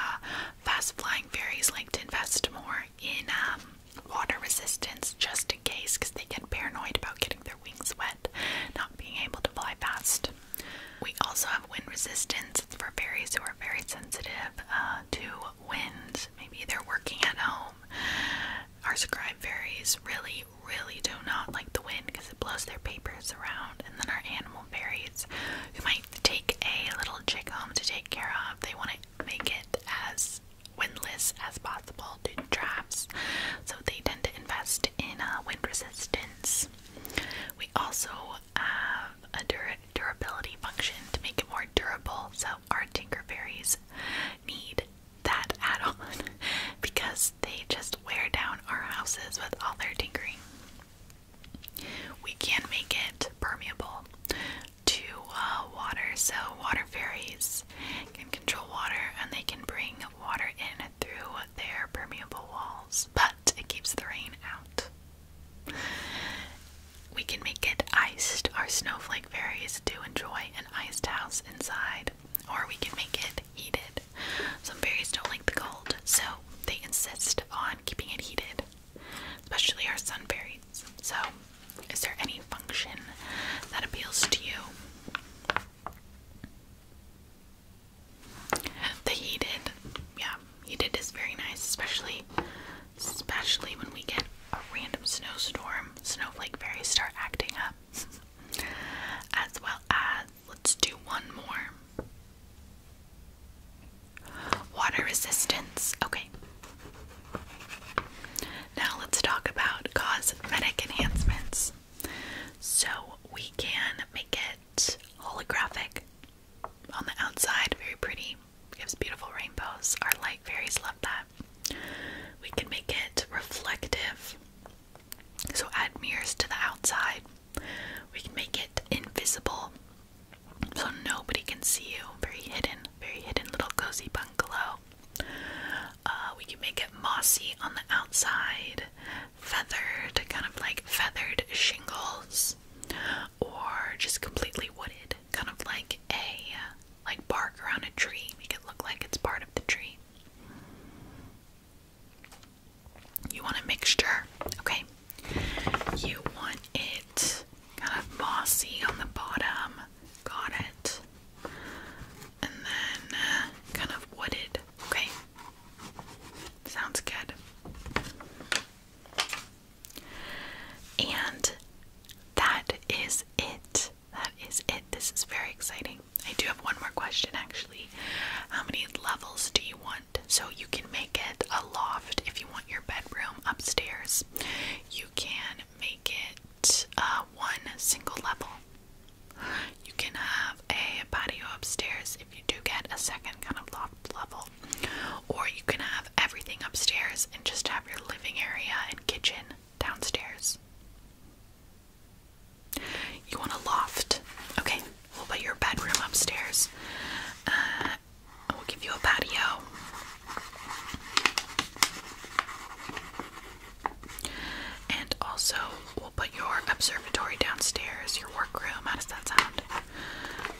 Speaker 1: Fast flying fairies like to invest more in um, water resistance just in case because they get paranoid about getting their wings wet, not being able to fly fast. We also have wind resistance for fairies who are very sensitive uh, to winds. Maybe they're working at home. Our scribe fairies really, really do not like the wind because it blows their papers around. And then our animal fairies who might take a little chick home to take care of, they want to make it as windless as possible to traps, so they tend to invest in uh, wind resistance. We also have a durability function to make it more durable, so our Tinkerberries need that add-on because they just wear down our houses with all their tinkering. We can make it permeable to uh, water, so water fairies can control water and they can bring water in through their permeable walls, but it keeps the rain out. We can make it iced. Our snowflake fairies do enjoy an iced house inside, or we can make it heated. Some fairies don't like the cold, so they insist on keeping it heated, especially our sun fairies. So is there any function that appeals to you? The heated, yeah, heated is very nice, especially especially when we get a random snowstorm. Snowflake berries start acting up. as well as let's do one more. Water resistance. Okay. Now let's talk about cosmetic enhancements. So we can make it holographic on the outside, very pretty. Gives beautiful rainbows. Our light fairies love that. We can make it reflective. So add mirrors to the outside. We can make it invisible. So nobody can see you. Very hidden, very hidden little cozy bungalow. Uh, we can make it mossy on the outside, feathered, kind of like feathered shingles, or just completely wooded, kind of like a like bark around a tree. Make it look like it's part of the tree. You want a mixture, okay? You want it kind of mossy on the bottom. Got it and then uh, kind of wooded. Okay, sounds good. And that is it. That is it. This is very exciting. I do have one more question actually. How many levels do you want? So you can make it a loft if you want your bedroom upstairs. You can make it uh, one single level. You can have a patio upstairs if you do get a second kind of loft level, or you can have everything upstairs and just have your living area and kitchen downstairs. You want a loft, okay? We'll put your bedroom upstairs. Uh, we'll give you a patio. And also, we'll put your observatory downstairs, your workroom. How does that sound?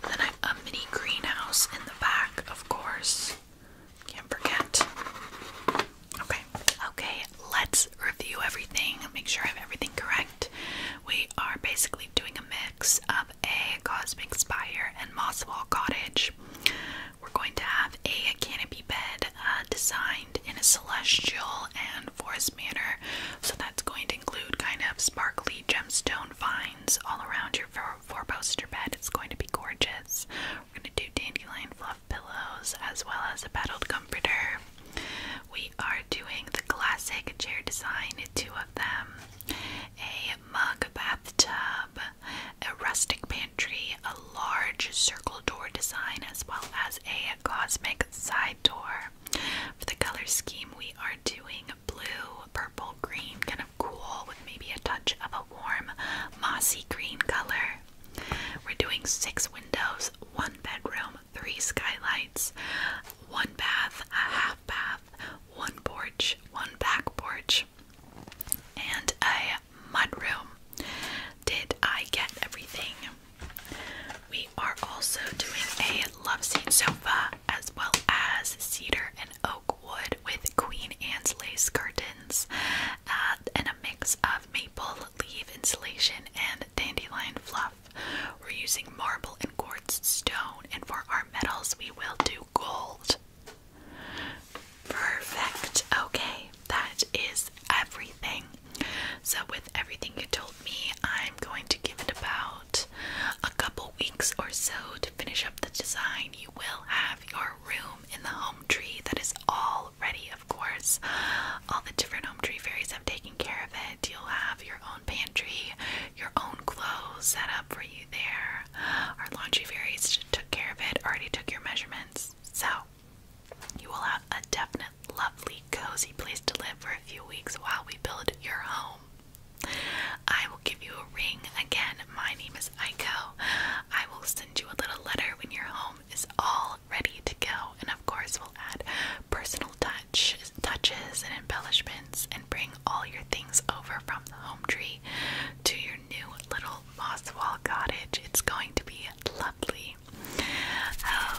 Speaker 1: then I have a mini greenhouse in the back, of course. Can't forget. Okay. Okay, let's review everything. Make sure I have everything correct. We are basically doing a mix of a Cosmic Spire and Mosswall Cottage. We're going to have a canopy bed uh, designed in a celestial and forest manner. So that's going to include kind of sparkly gemstone vines all around your four poster bed. It's going to be gorgeous. We're going to do dandelion fluff pillows as well as a paddled comforter. We are doing the classic chair design, two of them, a mug bathtub, a rustic pan pantry, a large circle door design, as well as a cosmic side door. For the color scheme, we are doing blue, purple, green, kind of cool with maybe a touch of a warm, mossy green color. We're doing six windows, one bedroom, three skylights, one bath, a half bath, one porch, one back porch, and a mudroom. Did I get everything? We are also doing a love seat sofa as well as cedar and oak wood with Queen Anne's lace curtains uh, and a mix of maple leaf insulation and dandelion fluff. We're using marble and quartz stone, and for our metals, we will do gold. Perfect. Okay, that is everything. So, with everything you told me, I'm going to give it about a couple weeks or so to finish up the design. You will have your room in the home tree that is all ready, of course. All the different home tree fairies have taken care of it. You'll have your own pantry, your own clothes set up for you there. Our laundry fairies took care of it, already took your measurements. So, you will have a definite, lovely, cozy place to live for a few weeks while we build your home. I will give you a ring again. My name is Eiko. I will send you a little letter when your home is all ready to go, and of course, we'll add personal touch, touches and embellishments, and bring all your things over from the home tree to your new little moss wall cottage. It's going to be lovely.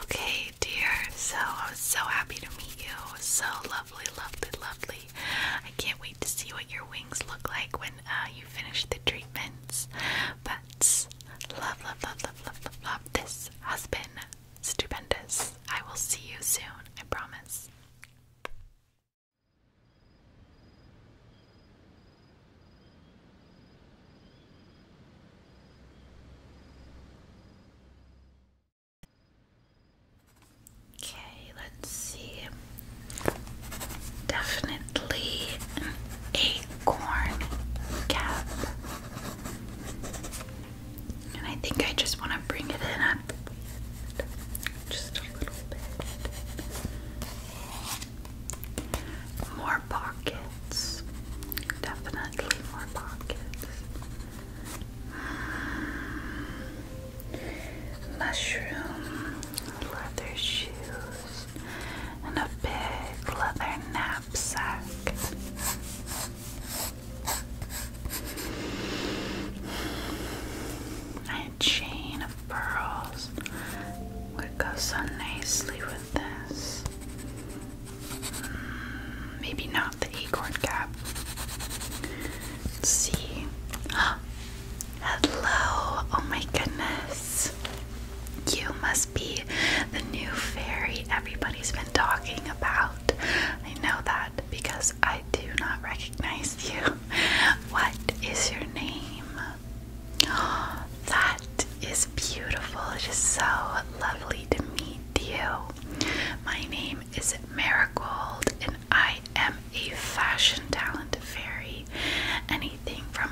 Speaker 1: Okay, dear. So I was so happy to meet you. So lovely, lovely, lovely. I can't wait to see what your wings look like when uh, you finish the treatments. But love, love, love, love, love, love. This has been stupendous. I will see you soon. I promise. Okay, let's see. Definitely an acorn cap. And I think I just want to bring it in up just a little bit. More pockets. Definitely more pockets. Mushroom, leather shoes, and a big leather knapsack. And a chain of pearls would go so nicely this. Mm, maybe not the acorn cap. Let's see. Hello! Oh my goodness. You must be the new fairy everybody's been talking about. I know that because I do not recognize you. What is your name? That is beautiful. It is so lovely to meet you. My name is Marigold, and I am a fashion talent fairy. Anything from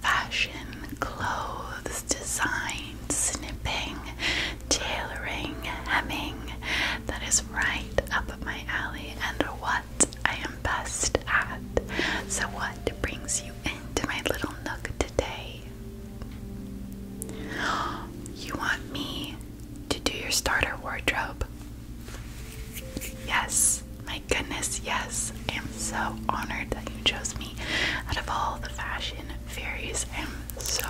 Speaker 1: fashion, clothes, design, snipping, tailoring, hemming. That is right up my alley and what I am best at. So, what brings you into my little nook today. You want me to do your starter wardrobe? Yes, my goodness, yes. I am so honored that you chose me out of all the fashion fairies. I am so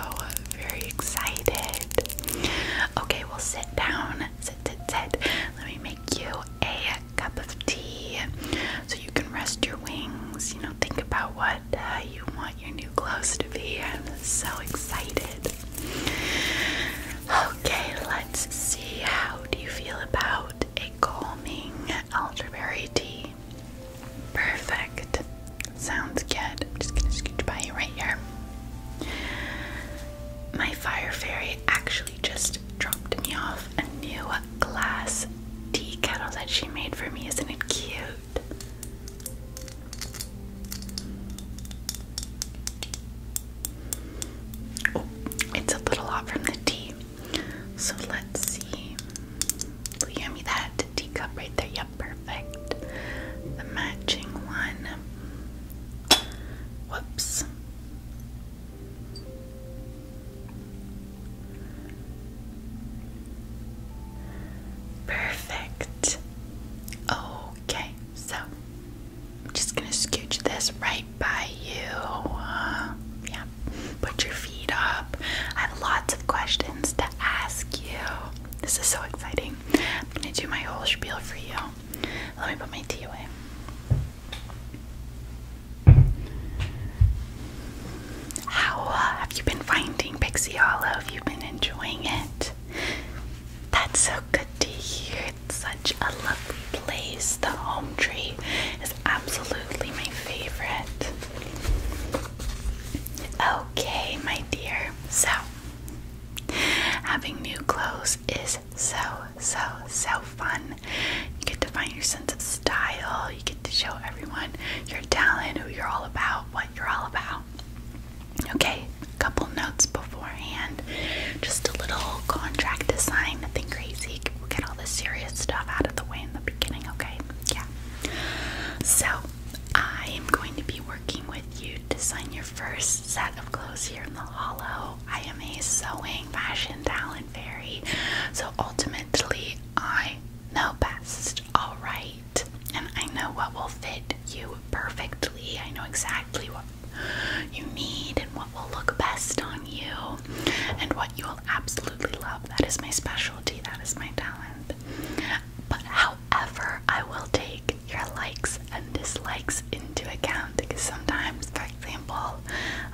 Speaker 1: very excited. Okay, we'll sit down. Sit, sit, sit. Let me make you a cup of tea so you can rest your wings. You know, think about what uh, you want your new clothes to be. I'm so excited. Okay, let's see. How do you feel about a calming elderberry tea? Perfect. Sounds good. I'm just gonna scooch by you right here. My fire fairy actually just dropped me off a new glass tea kettle that she made for me. Isn't it cute? Oh, it's a little hot from the tea. So let's see. Will me that teacup right there? Yep, perfect. The matching one. Whoops. Perfect. Okay, so I'm just gonna scooch this right by you. Uh, yeah, put your feet up. I have lots of questions to ask you. This is so exciting. I'm gonna do my whole spiel for you. Let me put my tea away. How uh, have you been finding Pixie Hollow? Have you been enjoying it? That's so good to hear. It's such a lovely place. The home tree is absolutely my favorite. Okay, my dear. So, having new clothes is so, so, so fun. You get to find your sense of style. You get to show everyone your talent, who you're all about, what you're all about. Okay, a couple notes beforehand. Just a little contract to sign, nothing crazy. get all the serious stuff out of the way in the beginning, okay? Yeah. So, I am going to be working with you to sign your first set of clothes here in the hollow. I am a sewing fashion talent can So ultimately, I know best, all right? And I know what will fit you perfectly. I know exactly what you need and what will look best on you and what you will absolutely love. That is my specialty, that is my talent. But however, I will take your likes and dislikes into account because sometimes example,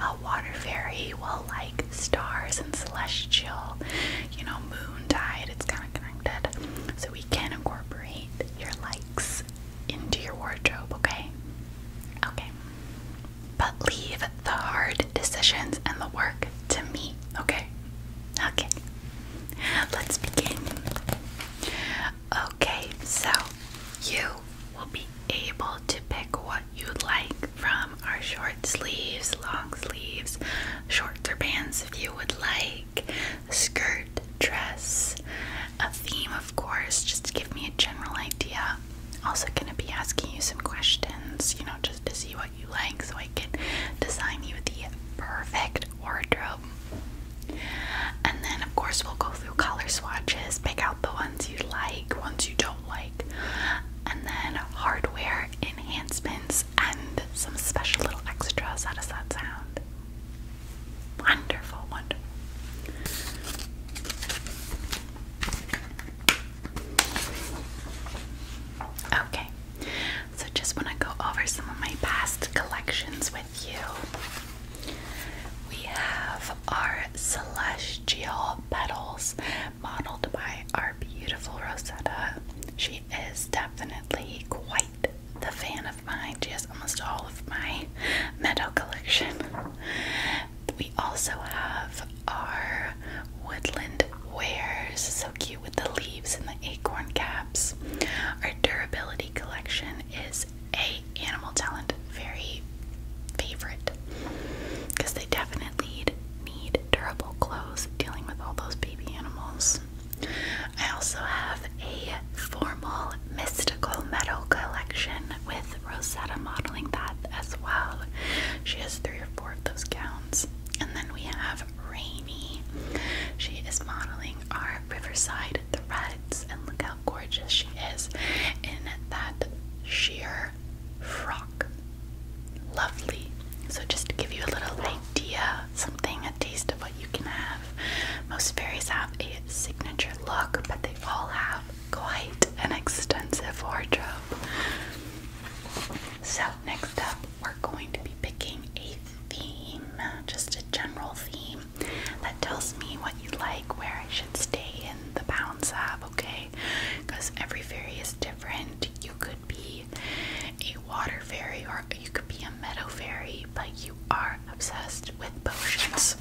Speaker 1: a water fairy will like stars and celestial, you know, moon tide, it's kind of connected. So we can incorporate your likes into your wardrobe, okay? Okay. But leave the hard decisions and the work to me, okay? Okay. Let's begin. Okay, so you will be able to pick what you would like from our short sleeves, long sleeves, shorts or pants if you would like, skirt, dress, a theme, of course, just to give me a general idea. Also, gonna be asking you some questions, you know, just to see what you like so I can design you the perfect wardrobe. And then, of course, we'll go through color swatches, pick out the ones you like, ones you don't like and then hardware enhancements and some special little extras. How does that sound? Wonderful, wonderful. Okay, so just want to go over some of my past collections with you. We have our celestial petals modeled by our beautiful Rosetta. She is definitely quite the fan of mine. She has almost all of my meadow collection. We also have our woodland wares, so cute with the leaves and the acorn caps. Our durability collection is a animal talent, very favorite because they definitely need durable clothes dealing with all those baby animals. I also have a formal mystical metal collection with Rosetta modeling that as well. She has three or four of those gowns. And then we have Rainy. She is modeling our Riverside Threads, and look how gorgeous she is in that sheer frock. Lovely. So, just to give you a little idea, something, a taste of what you can have. Most fairies have a signature look, but they all have quite an extensive wardrobe. So, next up, we're going to be picking a theme, just a general theme that tells me what you like, where I should stay in the bounds of, okay? because every fairy is different. You could be a water fairy or you could be a meadow fairy, but you are obsessed with potions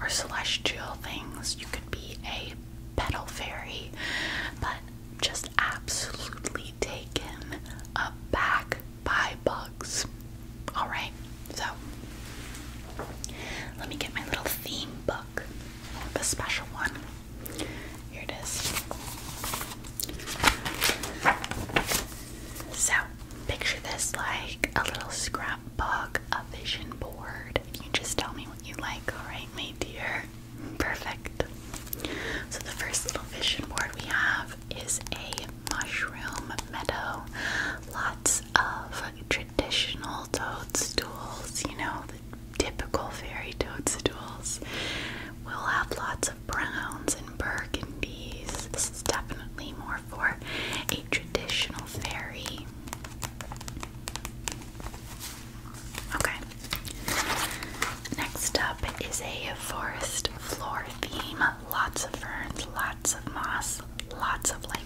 Speaker 1: or celestial things. You could be a petal fairy, but just absolutely taken aback by bugs. Alright, so let me get my little theme book a special one. Here it is. So, picture this like a little scrapbook, a vision board. You just tell me what you like, alright, my dear? Perfect. So, the first little vision board we have is a mushroom meadow. Lots of traditional toadstools, you know, the typical fairy toadstools will have lots of browns and burgundies. This is definitely more for a traditional fairy. Okay. Next up is a forest floor theme. Lots of ferns, lots of moss, lots of lichen.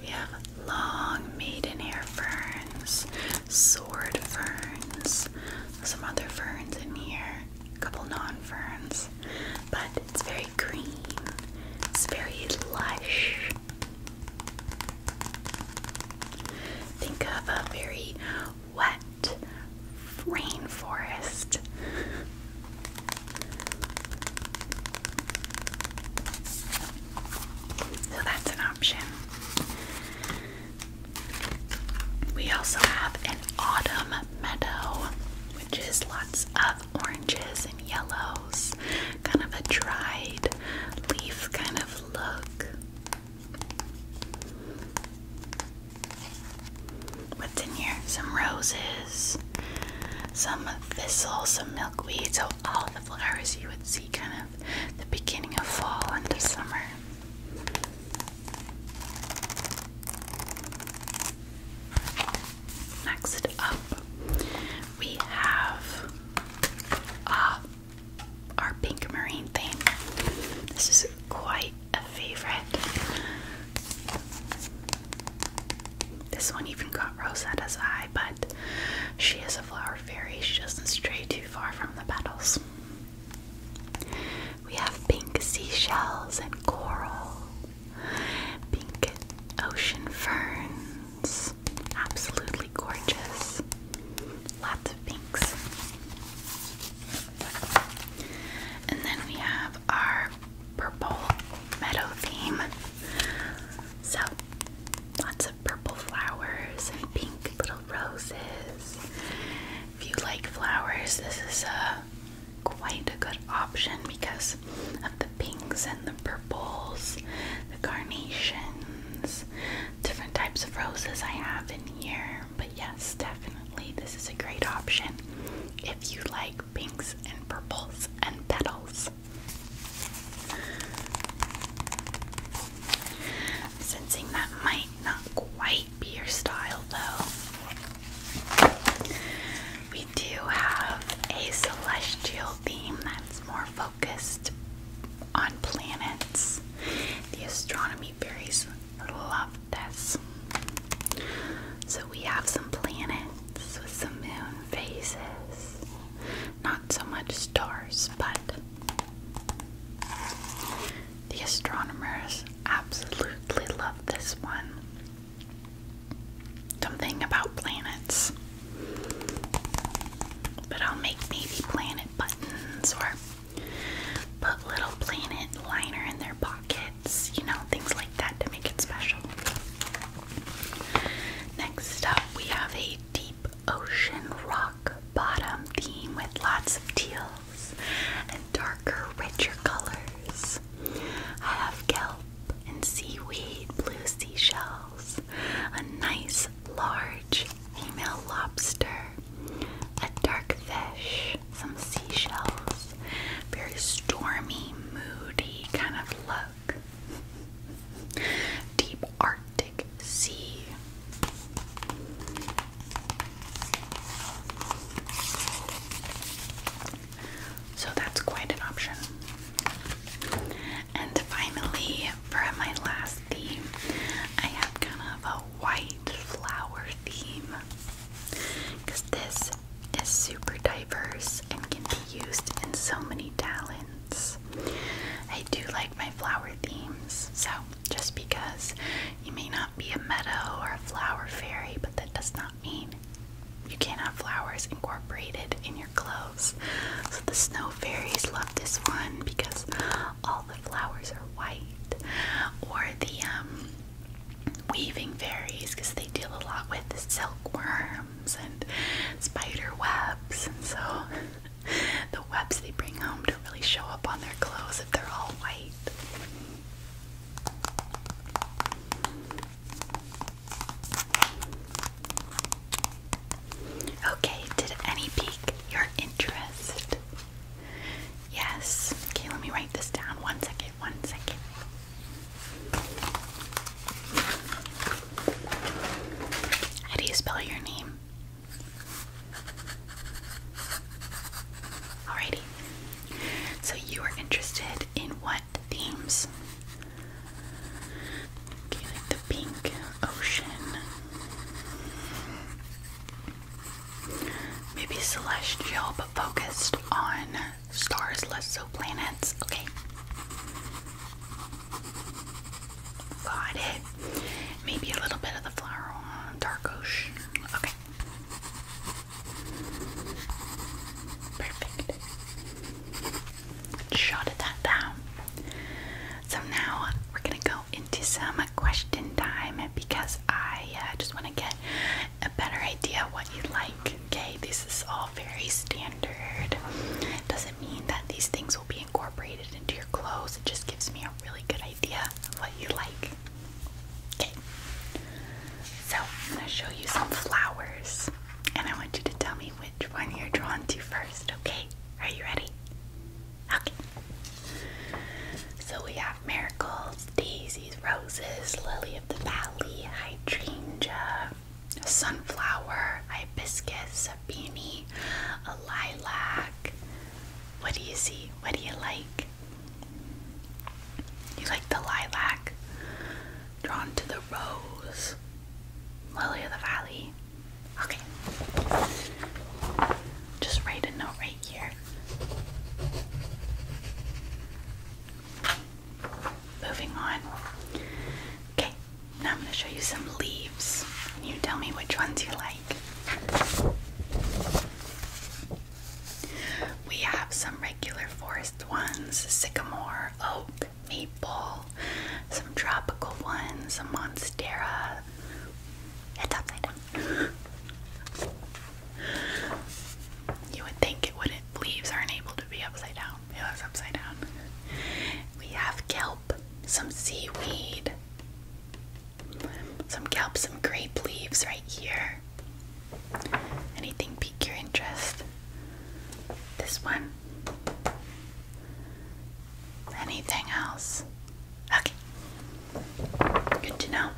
Speaker 1: We have long maidenhair ferns, sword ferns, some other ferns in here, a couple non ferns, but it's very green, it's very lush. Think of a very wet rainforest. So that's an option. We also have an autumn meadow, which is lots of oranges and yellows, kind of a dried leaf kind of look. What's in here? Some roses, some thistle, some milkweeds all the flowers you would see kind of the beginning of fall into summer. Next up, we have uh, our pink marine theme. This is quite a favorite. This one even caught Rosetta's eye, but she is a flower fairy. She doesn't stray too far from the petals. We have pink seashells and coral, pink ocean ferns. Absolutely gorgeous. Lots of pinks. And then we have our purple meadow theme. So, lots of purple flowers and pink little roses. If you like flowers, this is a uh, quite a good option because of the pinks and the purples, the carnations, different types of roses I have in here. But yes, definitely this is a great option if you like pinks and purples and petals. I'm sensing that might not quite be your style though. We do have a celestial theme that's more focused on planets. The astronomy berries love this. So we have some planets with some moon phases. Not so much stars, but the astronomers absolutely love this one. Something about planets. But I'll make maybe planet buttons or put little planet liner in their pockets, you know, things like that to make it special. Next up, we have a deep ocean rock bottom theme with lots of teals and darker, richer colors. I have kelp and seaweed, blue seashells, a nice large female lobster, a dark fish, some seashells, very stormy, moody, kind of love Deep Arctic Sea. So that's quite an option. And finally, for my last theme, I have kind of a white flower theme. Because this is super diverse and can be used in so many talents. I do like my flower themes. So just because you may not be a meadow or a flower fairy, but that does not mean you can't have flowers incorporated in your clothes. So the snow fairies love this one because all the flowers are white. Or the um, weaving fairies because they deal a lot with the silkworm and spider webs, and so the webs they bring home don't really show up on their clothes if they're all white. Okay, did any pique your interest? Yes. Okay, let me write this down. One second, one second. How do you spell your name? Alrighty. So you are interested in what themes? the pink ocean. Maybe celestial, but focused on stars, less so planets. Okay. Got it. Maybe a little bit of the flower dark ocean. Okay. Perfect. Shot that down. So now we're gonna go into some question time because I uh, just want to get a better idea what you like. Okay, this is all very standard. Doesn't does mean that these things will be incorporated into your clothes. It just gives me a really good idea of what you like. Okay. So I'm gonna show you some flowers, and I want you to tell me which one you're drawn to first. Okay. Are you ready? Okay. So we have miracles, daisies, roses, lily of the valley, hydrangea, a sunflower, hibiscus, a beanie, a lilac. What do you see? What do you like? You like the lilac? Drawn to the rose. Lily of the Valley. Okay. Just write a note right here. Moving on. Okay, now I'm going to show you some leaves. You tell me which ones you like. We have some regular forest ones, sycamore, oak, maple, some tropical ones, some monstera. It's upside down. You would think it wouldn't leaves aren't able to be upside down, it was upside down. We have kelp, some seaweed, some kelp, some grape leaves right here. Anything pique your interest? This one? Anything else? Okay. Good to know.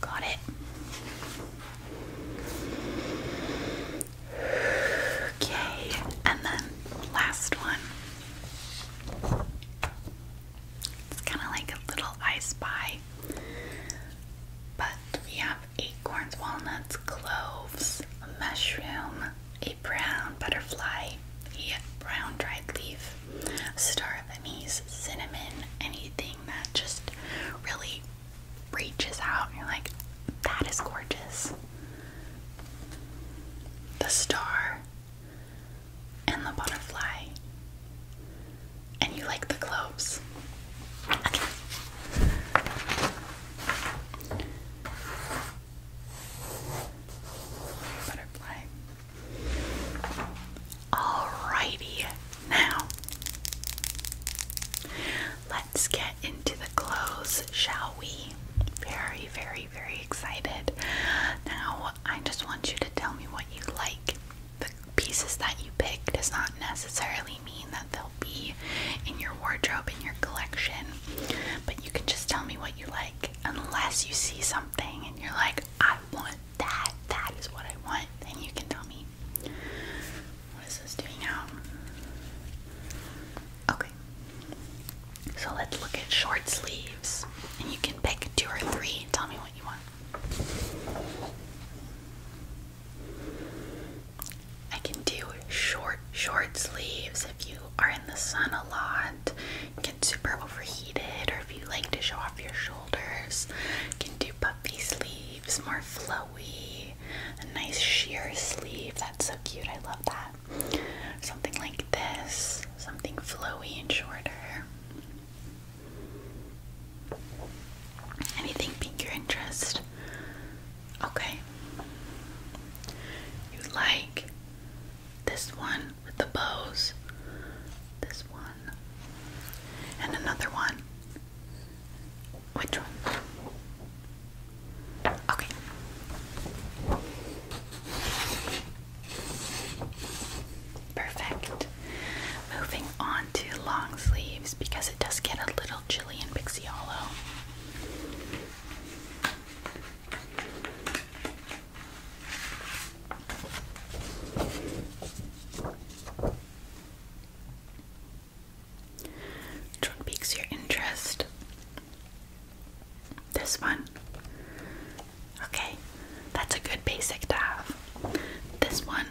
Speaker 1: Got it. Okay, and then last one. It's kind of like a little I spy. But we have acorns, walnuts, cloves, a mushroom, a brown butterfly, a brown dried leaf, star anise, cinnamon, anything that just really reaches out and you're like, that is gorgeous. The star and the butterfly. And you like the globes. Okay. Butterfly. Alrighty, now let's get into the clothes, shall we? Very, very, very excited. Now, I just want you to tell me what you like. The pieces that you picked does not necessarily mean that they'll be in your wardrobe, in your collection, but you can just tell me what you like unless you see something and you're like, I want that, that is what I want, then you can tell me. What is this doing out? Okay. So let's look at short sleeves. And you can pick two or three and tell me what you want. I can do short, short sleeves if you are in the sun a lot, get super overheated, or if you like to show off your shoulders, you can do puffy sleeves sleeves, more flowy, a nice sheer sleeve. That's so cute. I love that. Something like this, something flowy and shorter. Anything pique your interest? Okay. You like this one with the bows, this one, and another one. Which one? Okay. Perfect. Moving on to long sleeves because it does get a little chilly in Pixie which one piques your interest? This one? Okay, that's a good basic to have. This one?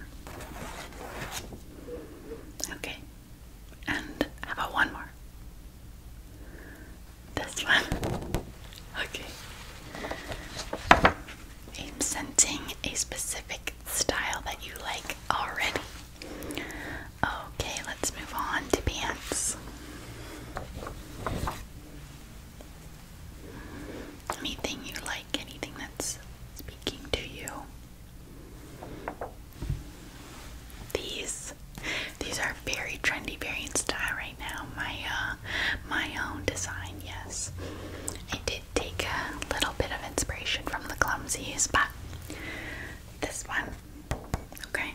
Speaker 1: Okay, and how about one more? This one? Okay. I'm sensing a specific style that you like already. Okay, let's move on to pants. Anything you like, anything that's speaking to you. These these are very trendy, very in style right now. My uh, my own design, yes take a little bit of inspiration from the clumsies, but this one, okay,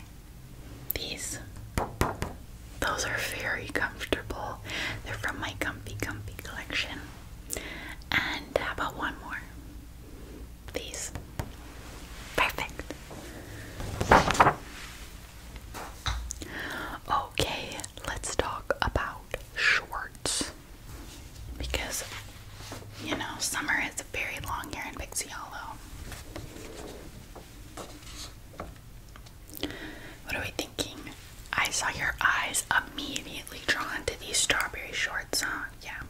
Speaker 1: these, those are very comfortable. They're from my Comfy Comfy collection. And how about one more? These. Perfect. Okay, let's talk about shorts because you know summer is very long here in Pixie Hollow. What are we thinking? I saw your eyes immediately drawn to these strawberry shorts, huh? Yeah.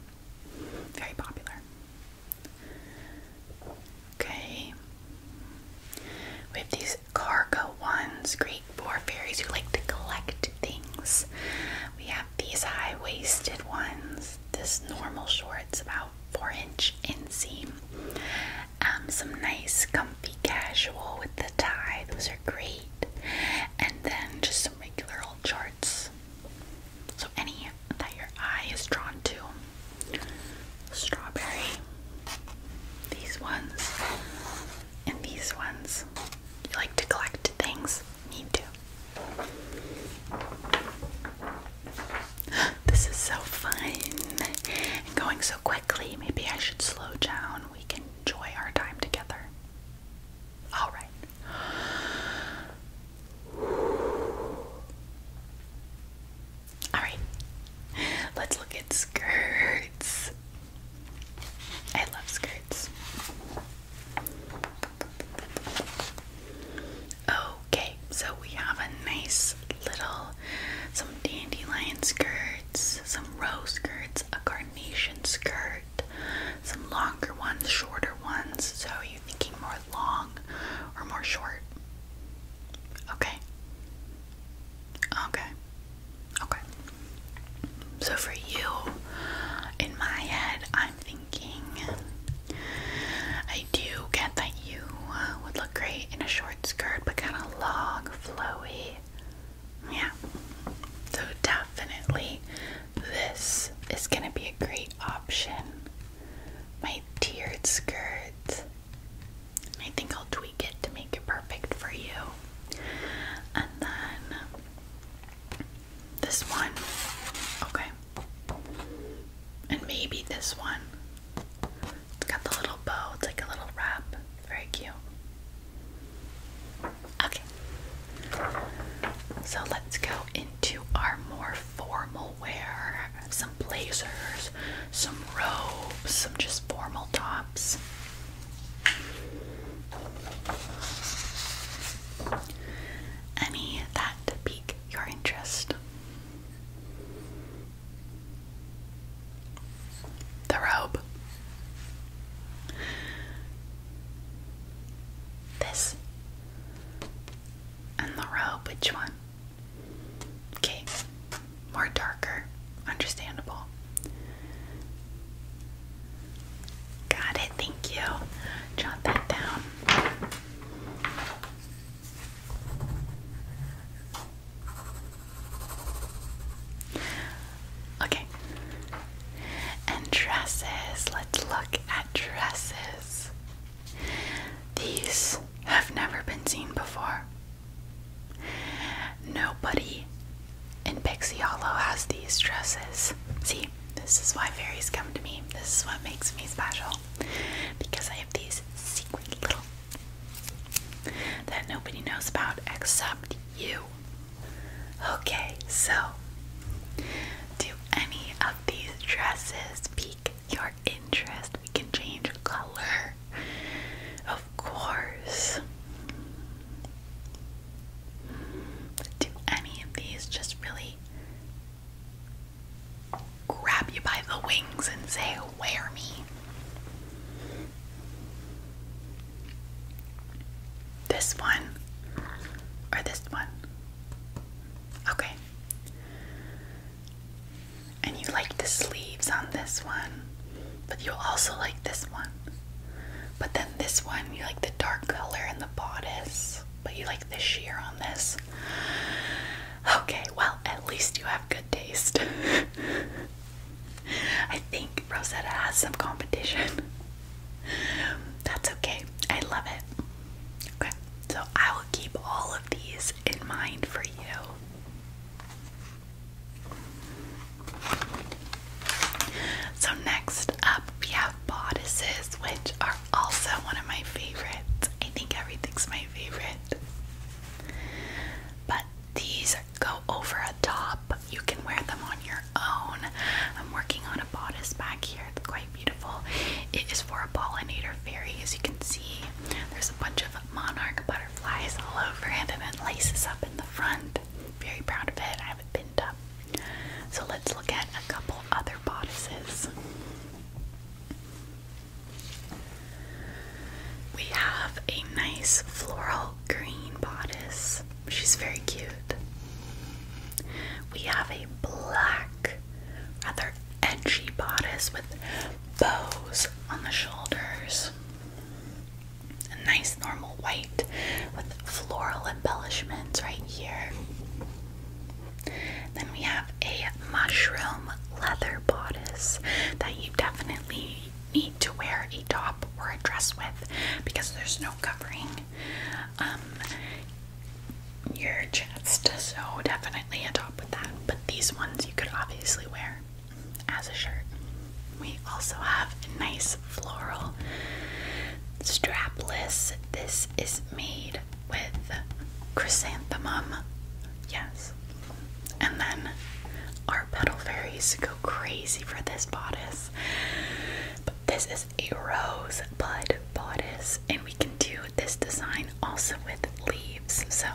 Speaker 1: Very popular. Okay. We have these cargo ones, for fairies who like to collect things. We have these high waisted ones. This normal shorts, about 4 inch inseam. Um, some nice, comfy casual with the tie. Those are great. And then just some regular old shorts. So, any that your eye is drawn to. Strawberry. These ones. And these ones, you like to collect things, need to. This is so fun and going so quickly. Maybe I should slow down. We can enjoy our time together. All right. All right. Let's look at skirts. I love skirts. Okay, so we have a nice little some dandelion skirts, some row skirts, a carnation skirt, some longer ones, shorter ones. So you thinking more long or more short? Okay. Okay. Okay. So for you, in my head, I'm thinking I do get that you uh, would look great in a short skirt, but kind of long, flowy. Yeah. So definitely, this is going to be a great option. My tiered skirt. I think I'll tweak it to make it perfect for you. And then this one. Okay. And maybe this one. It's got the little bow. It's like a little wrap. Very cute. Okay. So let's go into our more formal wear. Some blazers, some robes, some just formal tops. Any that pique your interest? The robe. This and the robe, which one? Okay, more darker, understandable. Got it, thank you. Jot that down. Okay. And dresses. Let's look at dresses. These have never been seen before. Nobody and Pixie Hollow has these dresses. See, this is why fairies come to me. This is what makes me special. Because I have these secret little that nobody knows about except you. Okay, so do any of these dresses pique your interest? We can change color. Of course. Do any of these just really grab you by the wings and say, Wear me? This one or this one? Okay. And you like the sleeves on this one, but you will also like this one. But then this one, you like the dark color and the bodice, but you like the sheer on this. Okay, well, at least you have good taste. I think Rosetta has some competition. That's okay. I love it. Okay, so I will keep all of these in mind for you. So, next up, we have bodices, which are also one of my favorites. I think everything's my favorite. But these go over a top. You can wear them on your own. I'm working on a bodice back here. It's quite beautiful. It is for a pollinator fairy, as you can see. There's a bunch of monarch butterflies all over it, and then laces up in the front. Very proud of it. I have it so let's look at a couple other bodices. We have a nice floral green bodice. She's very cute. We have a black, rather edgy bodice with bows on the shoulders a nice normal white with floral embellishments right here. Then we have a mushroom leather bodice that you definitely need to wear a top or a dress with because there's no covering um, your chest, so definitely a top with that. But these ones you could obviously wear as a shirt. We also have a nice floral strapless. This is made with chrysanthemum. Yes. And then our petal fairies go crazy for this bodice. this is a rose bud bodice, and we can do this design also with leaves. So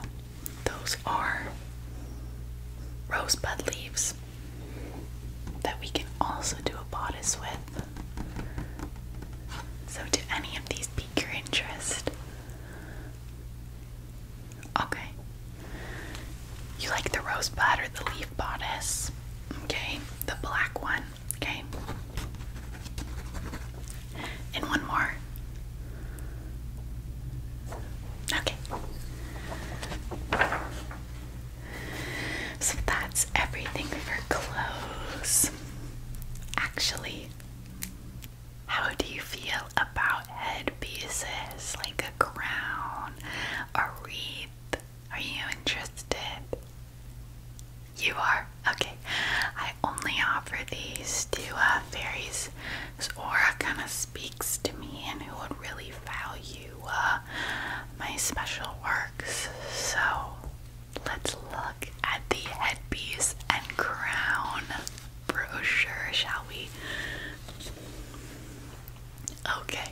Speaker 1: those are rosebud leaves that we can also do a bodice with. So, do any of these pique your interest? Okay. You like the rosebud or the leaf bodice? Okay, the black one. Okay. And one more. Okay. So that's everything for clothes. Actually, how do you feel about headpieces like a crown, a wreath? Are you interested? You are? Okay. I only offer these to uh, fairies whose aura kind of speaks to me and who would really value uh, my special works. So let's look at the headpiece and crown brochure, shall we? Okay,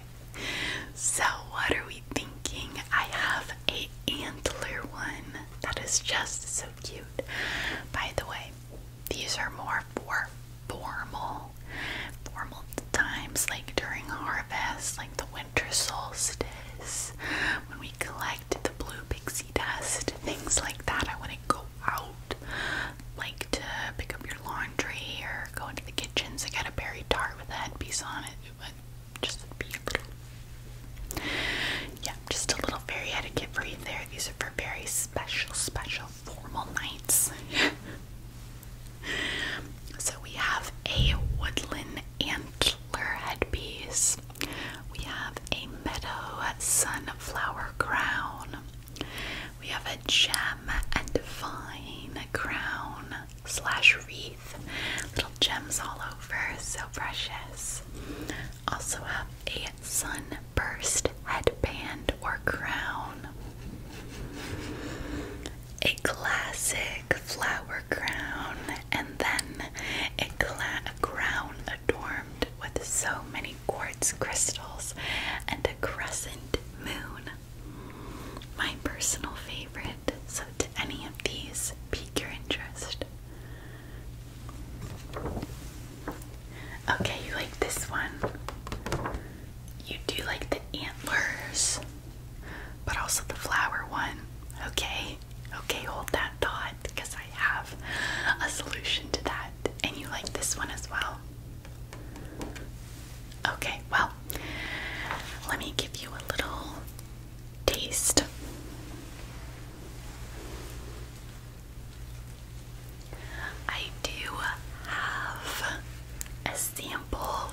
Speaker 1: so what are we thinking? I have a antler one that is just so cute. By the way, these are more for formal formal times like during harvest, like the winter solstice, when we collect the blue pixie dust, things like that. I want to go out like to pick up your laundry or go into the kitchens to get a berry tart with that piece on it. But just be a little, yeah, just a little fairy etiquette for you there. These are for very special, special formal nights. So we have a woodland antler headpiece. We have a meadow sunflower crown. We have a gem and vine crown slash wreath. Little gems all over, so precious. Also have a sunburst headband or crown a classic flower crown, and then a, a crown adorned with so many quartz crystals and a crescent moon. My personal favorite, so do any of these pique your interest? Okay, you like this one. You do like the antlers but also the flower one. Okay, okay, hold that thought because I have a solution to that. And you like this one as well? Okay, well, let me give you a little taste. I do have a sample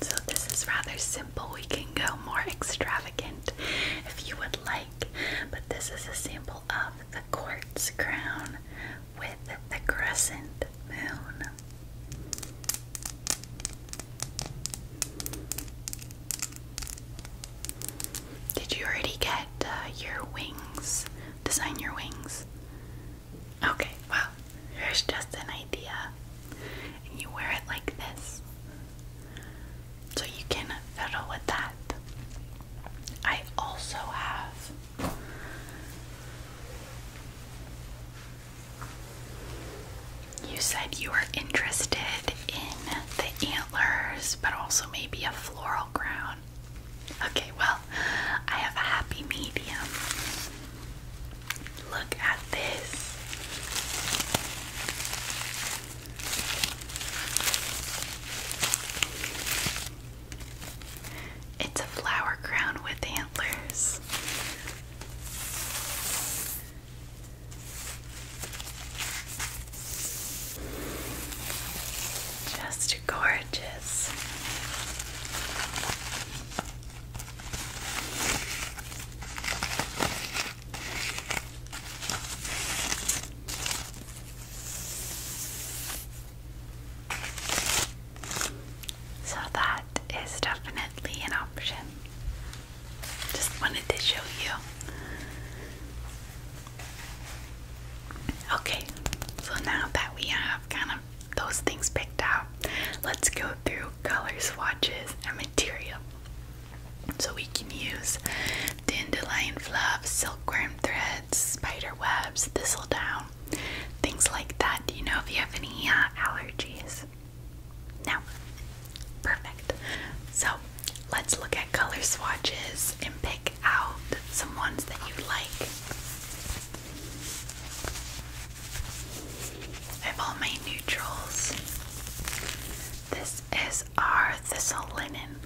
Speaker 1: so, this is rather simple. We can go more extravagant if you would like, but this is a sample of the quartz crown with the crescent moon. Did you already get uh, your wings Design your wings. Okay, well, here's just an idea. And you wear it like this. So you can fiddle with that. I also have you said you were interested in the antlers, but also maybe a floral crown. Okay, well, I have a happy medium. Look at this. It's a flower crown with antlers. Just gorgeous. So that is definitely an option. Just wanted to show you Okay, so now that we have kind of those things picked out, let's go through color swatches and material. So we can use dandelion fluff, silkworm threads, spider webs, thistle down, things like that. Do you know if you have any uh, allergies? Now, Perfect. So let's look at color swatches and pick out some ones that you like. I have all my neutrals. This is our thistle linen.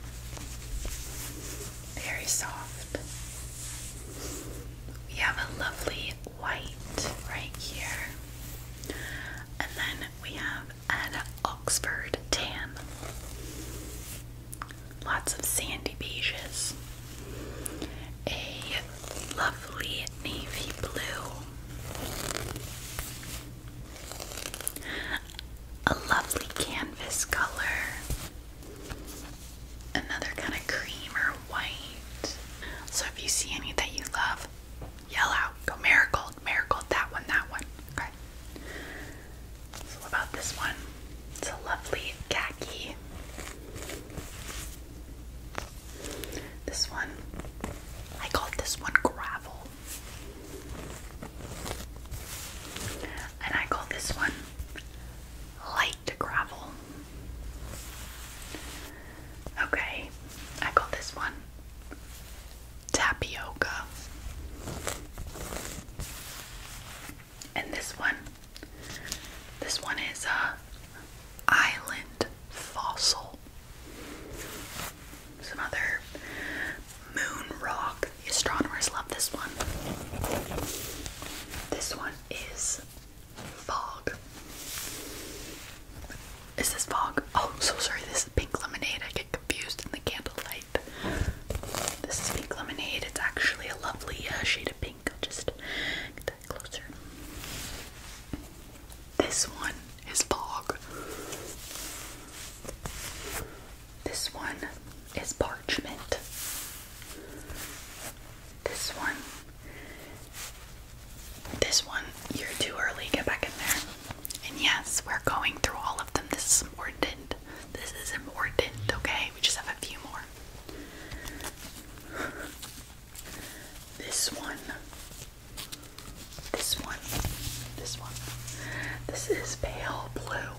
Speaker 1: Very soft. We have a lovely white right here. And then we have an Oxford tan lots of sandy beiges, a lovely navy blue, a lovely canvas color, another kind of cream or white. So if you see any that you love, yell out, go marigold, marigold, that one, that one. So what about this one? It's a lovely khaki. This one, I call this one gravel. And I call this one light gravel. Okay, I call this one tapioca. And this one, this one is a island fossil. Some other moon rock. The astronomers love this one. This one is fog. Is this fog? Oh, so sorry. This is pink lemonade. I get confused in the candlelight. This is pink lemonade. It's actually a lovely uh, shade of pink. I'll just get that closer. This one is fog. This one is parchment. This one. This one, you're too early. Get back in there. And yes, we're going through all of them. This is important important. This is important, okay? We just have a few more. This one. This one. This one. This is pale blue.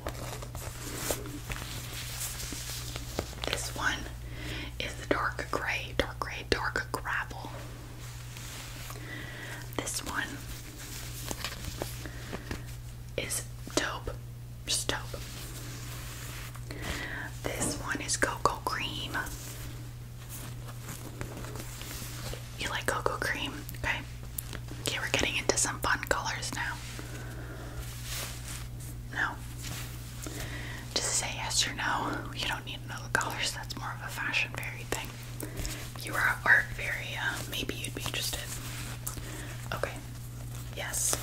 Speaker 1: This one is the dark gray, dark gray, dark gravel. This one is dope. Just dope. This one is cocoa cream. You like cocoa cream? Okay. Okay, we're getting into some fun colors now. No. Just say yes or no. You don't need another color. So That's more of a fashion fairy thing. you are an art fairy, uh, maybe you'd be interested. Okay. Yes.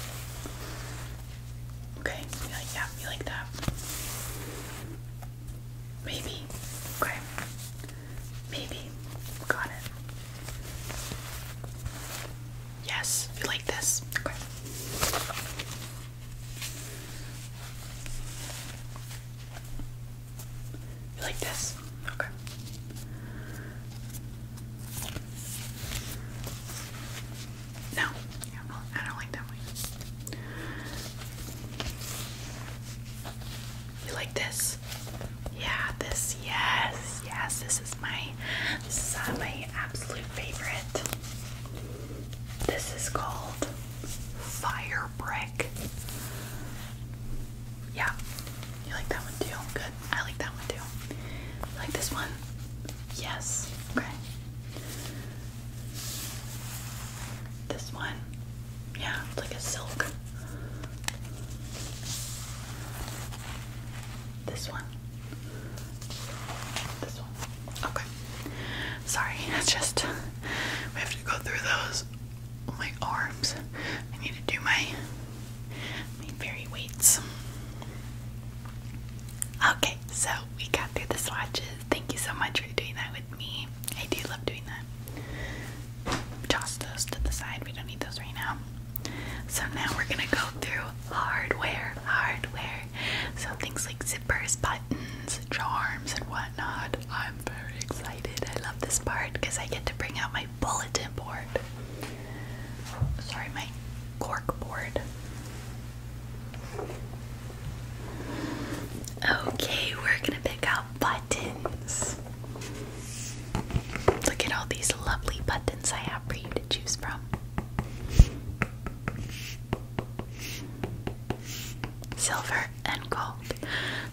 Speaker 1: Okay. You You like that? Maybe. Okay. Maybe. Got it. Yes. You like this? Okay. You like this? Okay. No, yeah, I don't like that one. You like this? Yeah, this. Yes, yes. This is my. This is uh, my absolute favorite. This is called fire brick. Yeah, you like that one too. I like that one too. like this one? Yes. Okay. This one? Yeah, it's like a silk. This one? This one. Okay. Sorry, it's just we have to go through those. My arms. I need to do my very weights. Okay, so we got through the swatches. Thank you so much for doing that with me. I do love doing that. Toss those to the side. We don't need those right now. So now we're gonna go through hardware, hardware. So things like zippers, buttons, charms, and whatnot. I'm very excited. I love this part because I get to bring out my bulletin board. Sorry, my cork board. Okay, we're gonna pick out buttons. Look at all these lovely buttons I have for you to choose from. Silver and gold.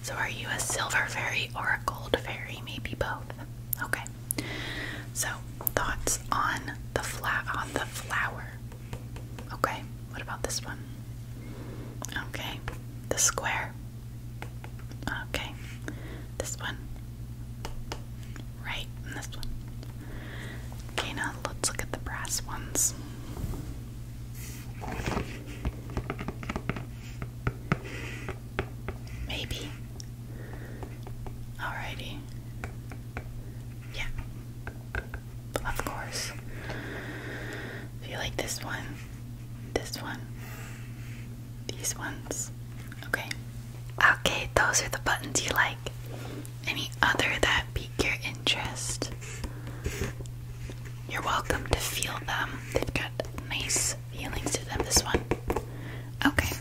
Speaker 1: So, are you a silver fairy or a gold fairy? Maybe both. Okay. So thoughts on the flat on the flower. Okay, what about this one? Okay, the square. Okay, this one. Right, this one. Okay, now let's look at the brass ones. Maybe Alrighty. Yeah. Of course. If you like this one, this one, these ones. Okay. Okay, those are the buttons you like. Any other that pique your interest? You're welcome to feel them. They've got nice feelings to them, this one. Okay.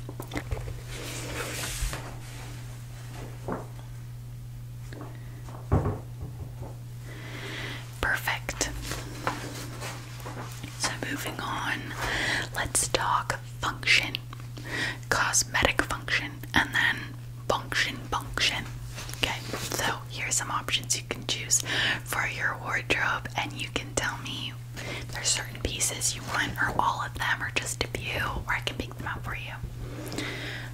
Speaker 1: Perfect. So, moving on, let's talk function, cosmetic function, and then function, function. Okay, so here are some options you can choose for your wardrobe, and you can tell me there's certain pieces you want, or all of them, or just a few, or I can pick them up for you.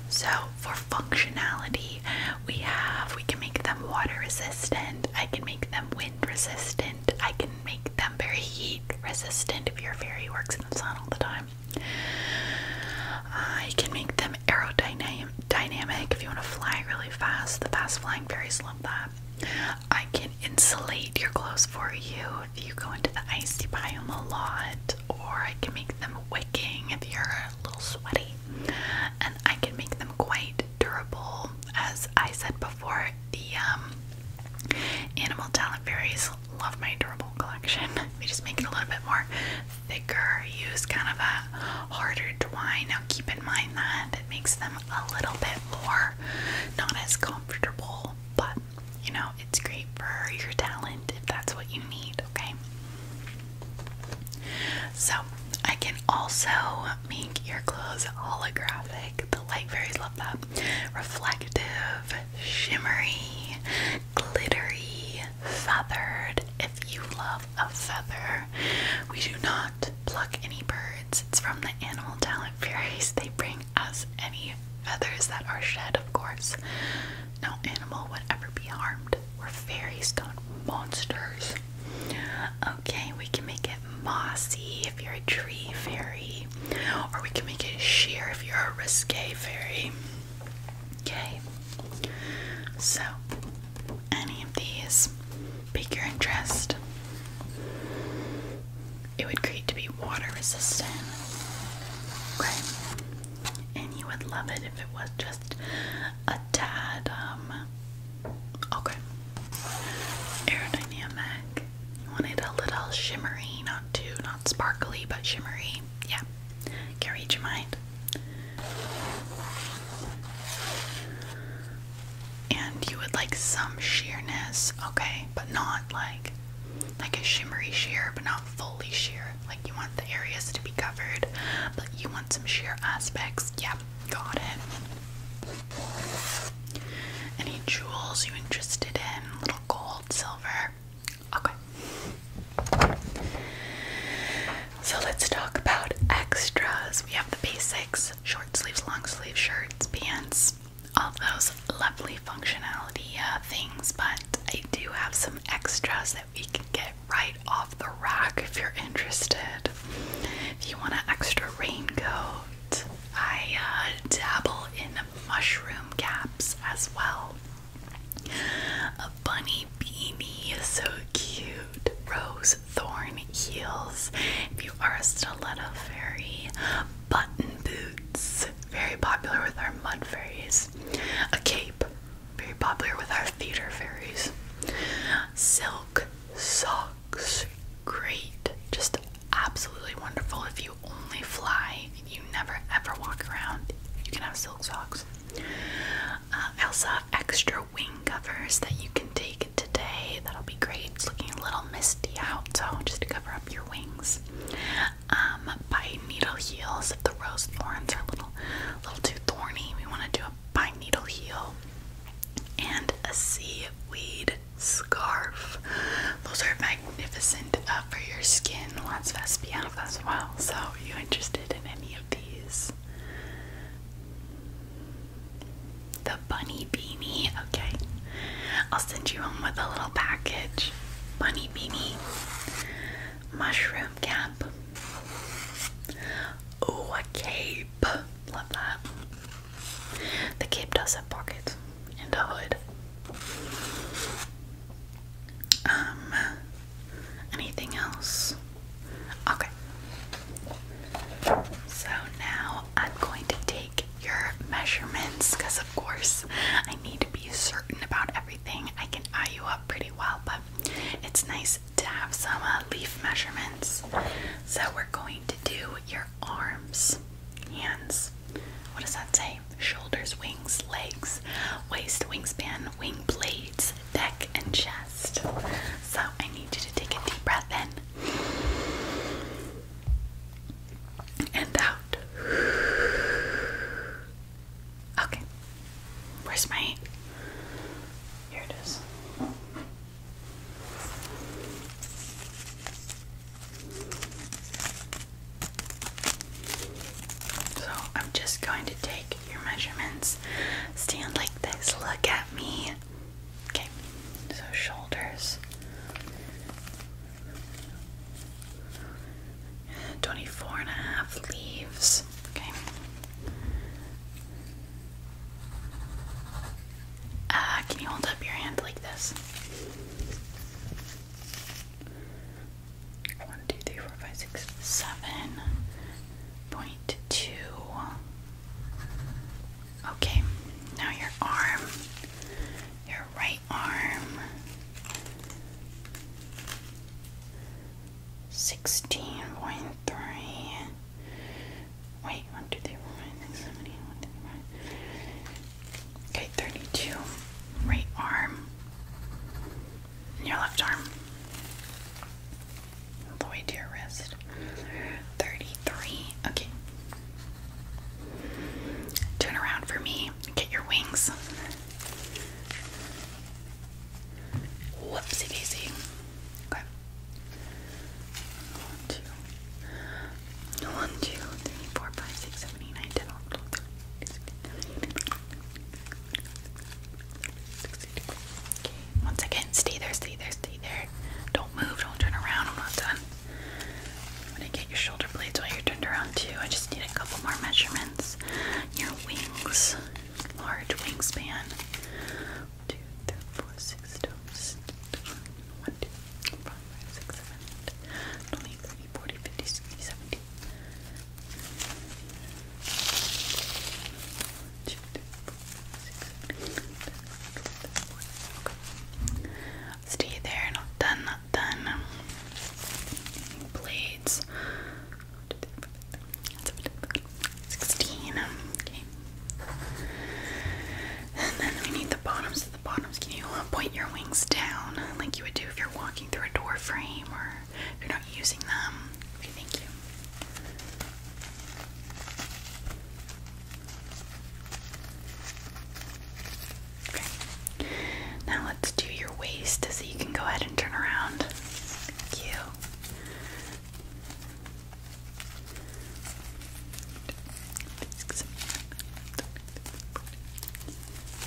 Speaker 1: So for functionality, we have we can make them water resistant. I can make them wind resistant. I can make them very heat resistant if your fairy works in the sun all the time. I can make them aerodynamic dynamic if you want to fly really fast. The fast flying fairies love that. I can insulate your clothes for you if you go into the icy biome a lot, or I can make them wicking if you're a little sweaty, and I can make them quite durable. As I said before, the um, animal talent fairies love my durable collection. They just make it a little bit more thicker, use kind of a harder twine. Now keep in mind that it makes them a little bit more not as comfortable, but you know, it's great for your talent if that's what you need, okay? So, I can also make your clothes holographic. The light fairies love that. Reflective, shimmery, glittery, feathered. If you love a feather, we do not pluck any birds. It's from the Animal Talent Fairies. They bring as any feathers that are shed, of course. No animal would ever be harmed. We're fairies, not monsters. Okay, we can make it mossy if you're a tree fairy, or we can make it sheer if you're a risque fairy. Okay, so any of these pique your interest it would create to be water resistant. Okay. And you would love it if it was just a tad um, okay. Aerodynamic. You a little shimmery, not too not sparkly, but shimmery. Yeah. Can read your mind and you would like some sheerness, okay, but not like like a shimmery sheer, but not fully sheer. Like you want the areas to be covered, but you want some sheer aspects. Yeah, got it. Any jewels you interested in? Little gold, silver. Okay. So let's talk about extras. We have the basics: short sleeves, long sleeve shirts, pants all of those lovely functionality uh, things, but I do have some extras that we can get right off the rack if you're interested. If you want an extra raincoat, I uh, dabble in mushroom caps as well. A bunny beanie is so cute. Rose thorn heels. If you are a stiletto fairy, button boots, very popular with our mud fairies. A cape, very popular with our theater fairies. Silk socks, great, just absolutely wonderful. If you only fly, you never ever walk around, you can have silk socks. Uh, I extra wing covers that you can take today. That'll be great. It's looking a little misty out, so just to cover up up your wings. Um, pine needle heels. If the rose thorns are a little, little too thorny, we want to do a pine needle heel and a seaweed scarf. Those are magnificent uh, for your skin. Lots of SPF as well. So, are you interested in any of these? bunny beanie. Okay. I'll send you home with a little package. Bunny beanie. Mushroom cap. Oh, a cape. Love that. The cape does have pockets and a hood. Um, anything else? Okay. So now I'm going to take your measurements because, of course, I need to be certain about everything. I can eye you up pretty well, but it's nice to have some uh, leaf measurements. So, we're going to do your arms, hands. What does that say? Shoulders, wings, legs, waist, wingspan, wing blades, neck, and chest. So, I need you to take a deep breath in and out. Okay. Where's my Here it is. So, I'm just going to take your measurements. Stand like this. Look at me. Okay. So, shoulders 24 and a half leaves. Okay. Uh, can you hold up your hand like this? One, two, three, four, five, six, seven point two. Okay, now your arm your right arm. 16.3. Wait, 1, Okay, 32. Right arm. your left arm. All the to your wrist. 33. Okay. Turn around for me. Get your wings. Whoopsie daisy. Okay. One, two. One, two, three, four, five, six, seven, eight, nine, ten, eleven, twelve, thirteen, Stay there, stay there, stay there. Don't move, don't turn around. I'm not done. I'm gonna get your shoulder blades while you're turned around too. I just need a couple more measurements. Your wings, large wingspan. One, two, three, four, six, seven, eight. One, two, three, four, five, six, seven, eight. 20, 30, 40, 50, 60, 70. Two, three, four, six, seven, eight. Okay. Stay there, not done done. Blades. 16. Okay. And then we need the bottoms. The bottoms, can you uh, point your wings down like you would do if you're walking through a door frame or if you're not using them? Okay, thank you. Now let's do your waist so you can go ahead and turn around.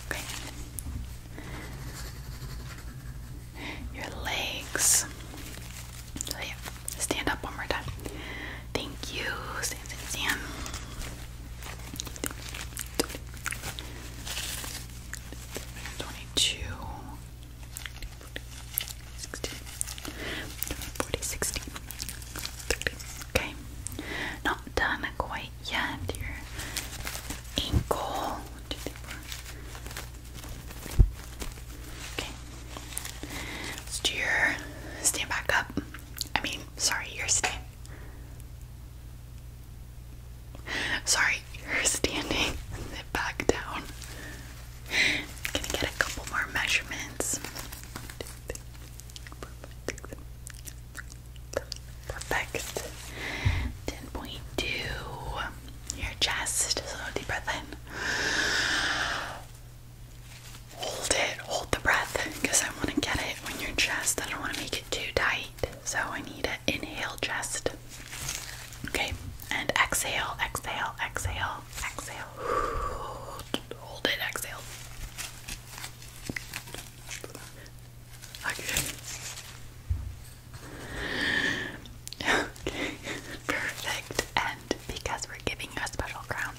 Speaker 1: Thank you. Okay. Your legs. So oh, yeah, stand up one more time. Thank you. Stand, stand, stand. 22 Okay. Not done quite yet. Your ankle. Okay. stand back up. I mean, sorry, your stand Sorry, you're standing. Sit back down. get a couple more measurements. Perfect. 10.2. Your chest. So deep breath in hold it, hold the breath, because I want to get it in your chest. I don't want to make it too tight. So I need to inhale chest. Okay, and exhale, exhale, exhale, exhale. Hold it, exhale. Okay. perfect. And because we're giving a special crown,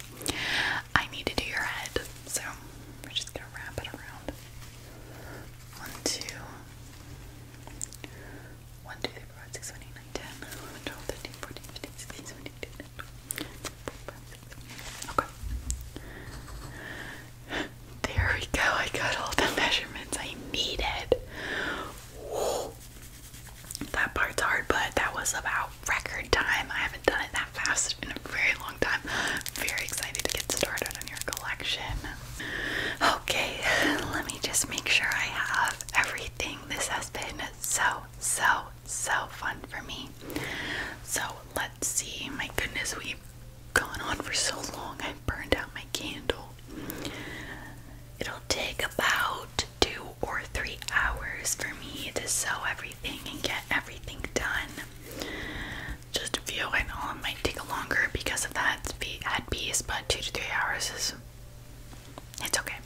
Speaker 1: I need to do your head. So we're just gonna wrap it around. One, two, one, two, three, four, five, six, seven, eight, nine, ten, eleven, twelve, thirteen, fourteen, fifteen, sixteen, seventeen, eighteen, nineteen, twenty. Okay. There we go. I got all the measurements I needed. That part's hard, but that was about record time. I haven't done it that fast in a very long time. Very excited to get started on your collection. Okay, let me just make sure I have everything. This has been so, so, so fun for me. So let's see. My goodness, we've gone on for so long. I burned out my candle. It'll take about two or three hours for me to sew everything and get everything done. Just view. I know it might take longer because of that ad piece, but two to three hours is it's okay.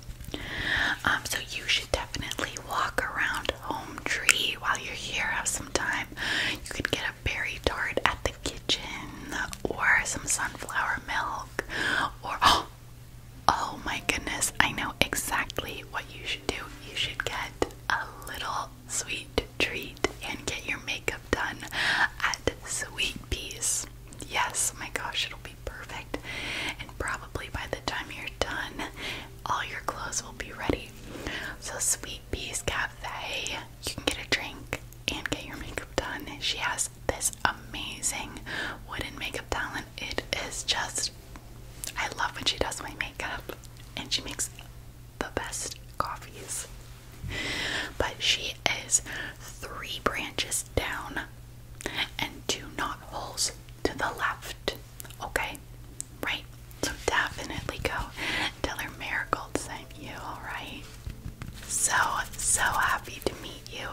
Speaker 1: Um, so you should definitely walk around Home Tree while you're here. Have some time. You could get a berry tart at the kitchen, or some sunflower milk, or oh, oh my goodness! I know exactly what you should do. You should get a little sweet treat and get your makeup done at Sweet Peas. Yes, my gosh, it'll be perfect. And probably by the time you're done, all your clothes will be ready. So, Sweet Peas Cafe, you can get a drink and get your makeup done. She has this amazing wooden makeup talent. It is just I love when she does my makeup and she makes the best coffees. But she is three branches down and two knot holes to the left. Okay? Right? So definitely go tell her Marigold sent you, alright? So, so happy to meet you.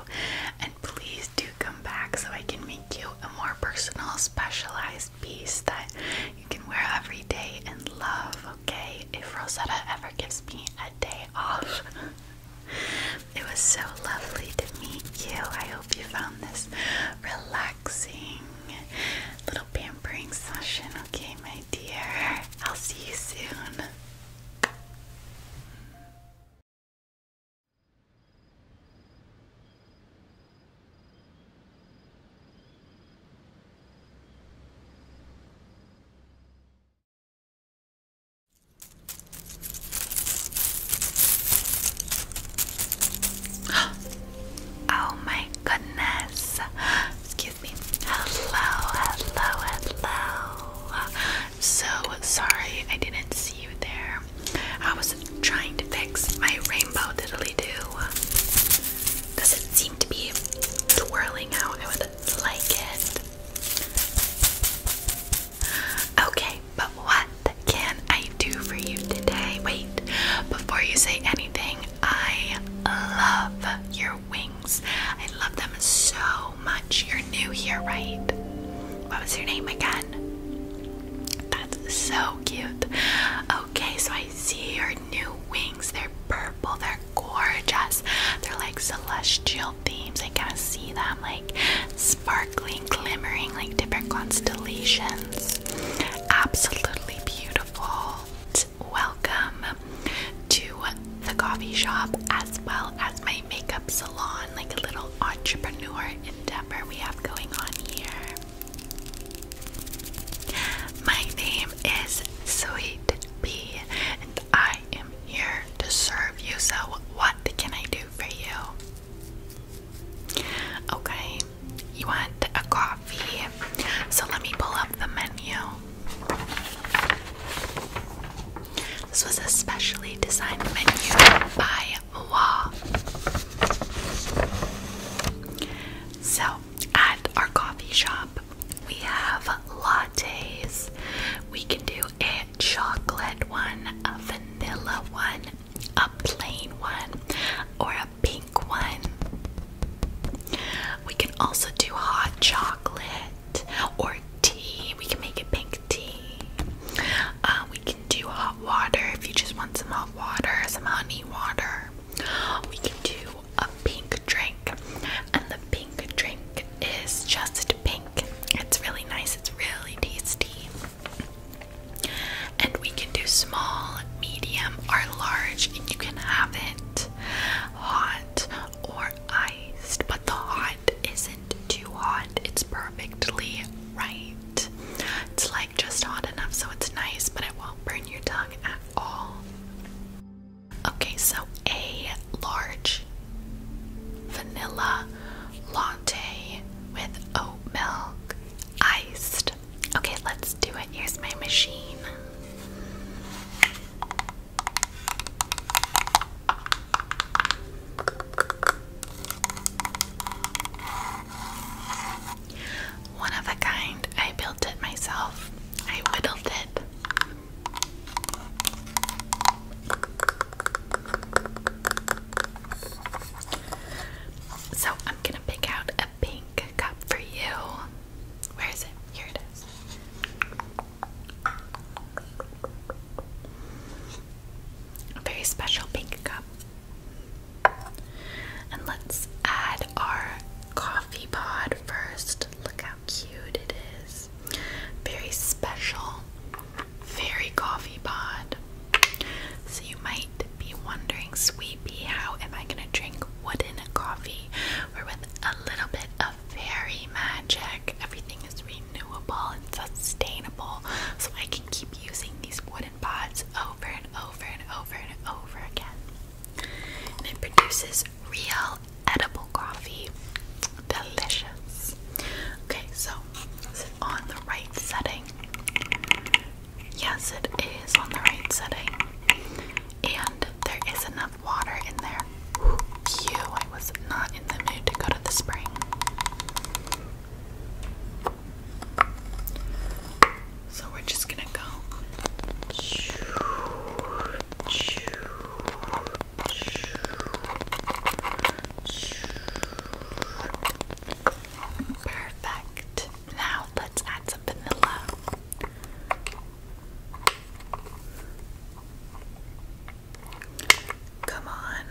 Speaker 1: And please do come back so I can make you a more personal, specialized piece that you can wear every day and love, okay? If Rosetta ever gives me a day off. it was so lovely to meet you. I hope you found this relaxing little pampering session, okay, my dear? I'll see you soon. Oh my goodness. Excuse me. Hello, hello, hello. So sorry I didn't see you there. I was trying to fix my rainbow diddly do. Does it seem to be twirling how I would like it? Okay, but what can I do for you today? Wait, before you say anything, I love your wings. I love them so much. You're new here, right? What was your name again? That's so cute. Okay, so I see her new wings. They're purple. They're gorgeous. They're like celestial themes. I kind of see them like sparkling, glimmering, like different constellations. Absolutely beautiful. Welcome to the coffee shop as well as my makeup salon, like a little entrepreneur endeavor we have going on here. My name is Sweet Pea, and I am here to serve you. So, what can I do for you? Okay, you want a coffee? So, let me pull up the menu. This was a specially designed menu by Wa. So, at our coffee shop, we have lattes. We can do a chocolate one, a vanilla one, a plain one, or a pink one. We can also do hot chocolate or tea. We can make a pink tea. Uh, we can do hot water if you just want some hot water, some honey water we can do a pink drink, and the pink drink is just pink. It's really nice, it's really tasty. And we can do small, medium, or large, and you can have it hot or iced, but the hot isn't too hot, it's perfectly right. It's like just hot enough so it's nice, but it won't burn your tongue at all. Okay, so a large vanilla latte with oat milk iced. Okay, let's do it. Here's my machine. One of a kind. I built it myself. I whittled it. So I'm gonna pick out a pink cup for you. Where is it? Here it is. A very special pink cup. And let's add our coffee pod first. Look how cute it is. Very special, very coffee pod. So you might be wondering, Sweepy, how am I going to drink wooden coffee? We're with a little bit of fairy magic. Everything is renewable and sustainable, so I can keep using these wooden pods over and over and over and over again. And it produces real edible coffee. Delicious. Okay, so is it on the right setting? Yes, it is on the right setting. And there is enough water in there. Phew, I was not in the mood to go to the spring. So we're just gonna go. Perfect. Now let's add some vanilla. Come on.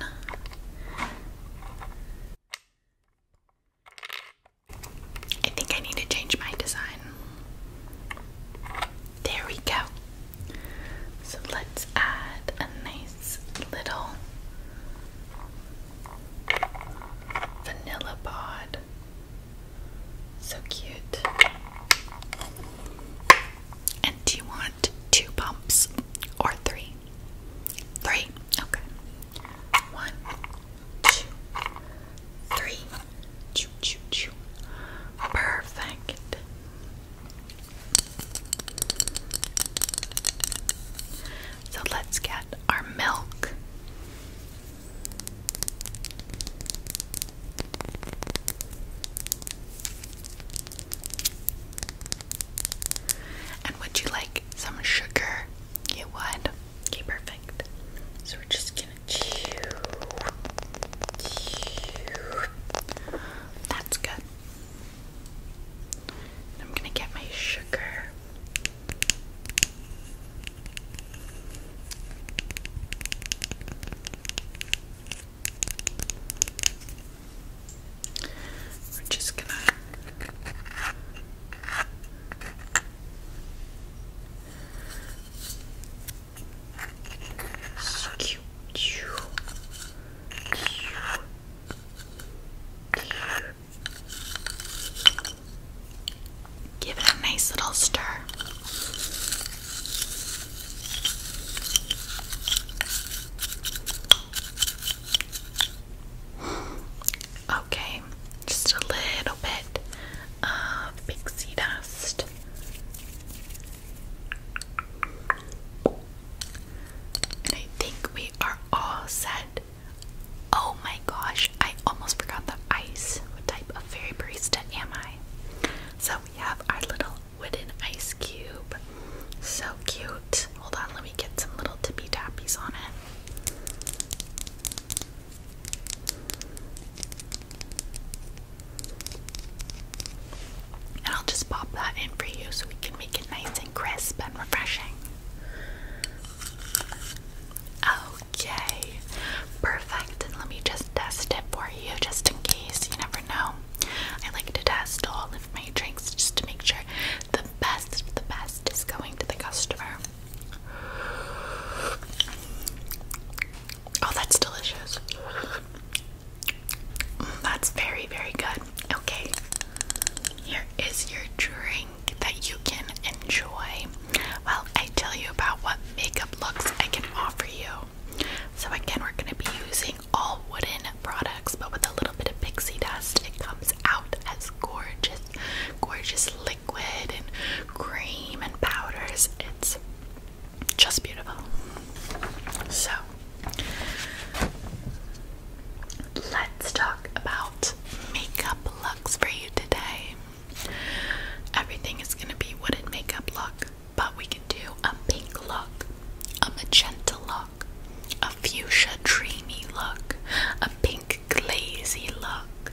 Speaker 1: I think I need to change my design. There we go. So let's add a nice little vanilla pod. So cute. And do you want two pumps or three? Three. Okay. One, two, three. Choo, choo, choo. Perfect. So let's get our milk. And would you like some sugar? You would. Okay, perfect. So we're just gonna chew. That's good. I'm gonna get my sugar. We're just gonna so cute. Give it a nice little stir. Okay, just a little bit of pixie dust. And I think we are all set. Oh my gosh, I almost forgot the ice. What type of fairy barista am I? So we have our little wooden ice cube. So cute. Hold on, let me get some little tippy tappies on it. I'll just pop that in for you so we can make it nice and crisp and refreshing. Okay, perfect. let me just test it for you just in case. You never know. I like to test all of my drinks just to make sure the best the best is going to the customer. Oh, that's delicious. Mm, that's very, very good. Okay, here is your drink that you can enjoy Well, I tell you about what makeup looks I can offer you. So, again, we're going to be using all wooden products, but with a little bit of pixie dust, it comes out as gorgeous gorgeous liquid and cream and powders. It's just beautiful. So, let's talk about makeup looks for you today. Everything is going to be wooden makeup look, but we can do a pink look, a magenta look, a fuchsia dreamy look, a pink glazy look,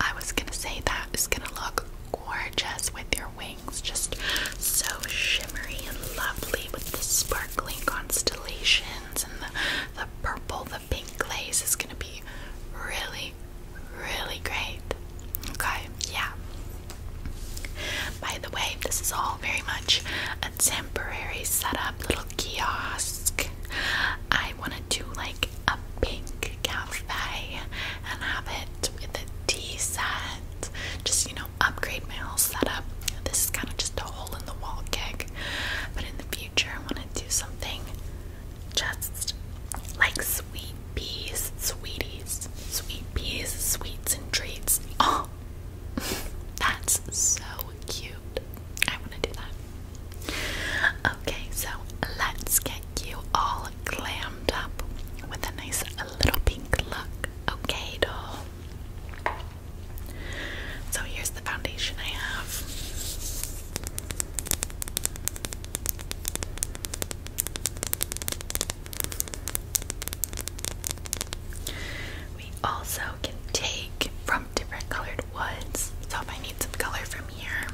Speaker 1: I was gonna say that is gonna look gorgeous with your wings, just so shimmery and lovely with the sparkling constellations and the, purple, the pink glaze is gonna be really, really great. Okay, yeah. By the way, this is all very much a temporary setup, little kiosk. I want to do like a pink cafe and have it with a tea set. Just, you know, upgrade my whole setup. This is kind of just a hole in the wall gig. But in the future, I want to do something just like sweet peas, sweeties, sweet peas, sweets, and treats. Oh, that's so cute. I want to do that. Okay, so let's get you all glammed up with a nice little pink look. Okay, doll. So here's the foundation I have. We also can take from different colored woods. So if I need some color from here,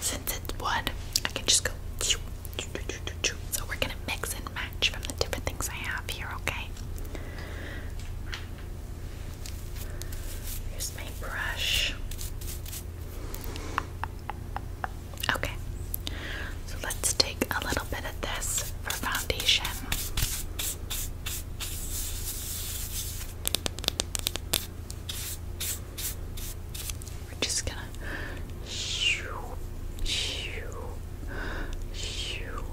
Speaker 1: since it's wood, I can just go. So we're gonna mix and match from the different things I have here, okay? Here's my brush. Okay, so let's take a little bit of this for foundation. We're just gonna shoo, shoo, shoo, shoo,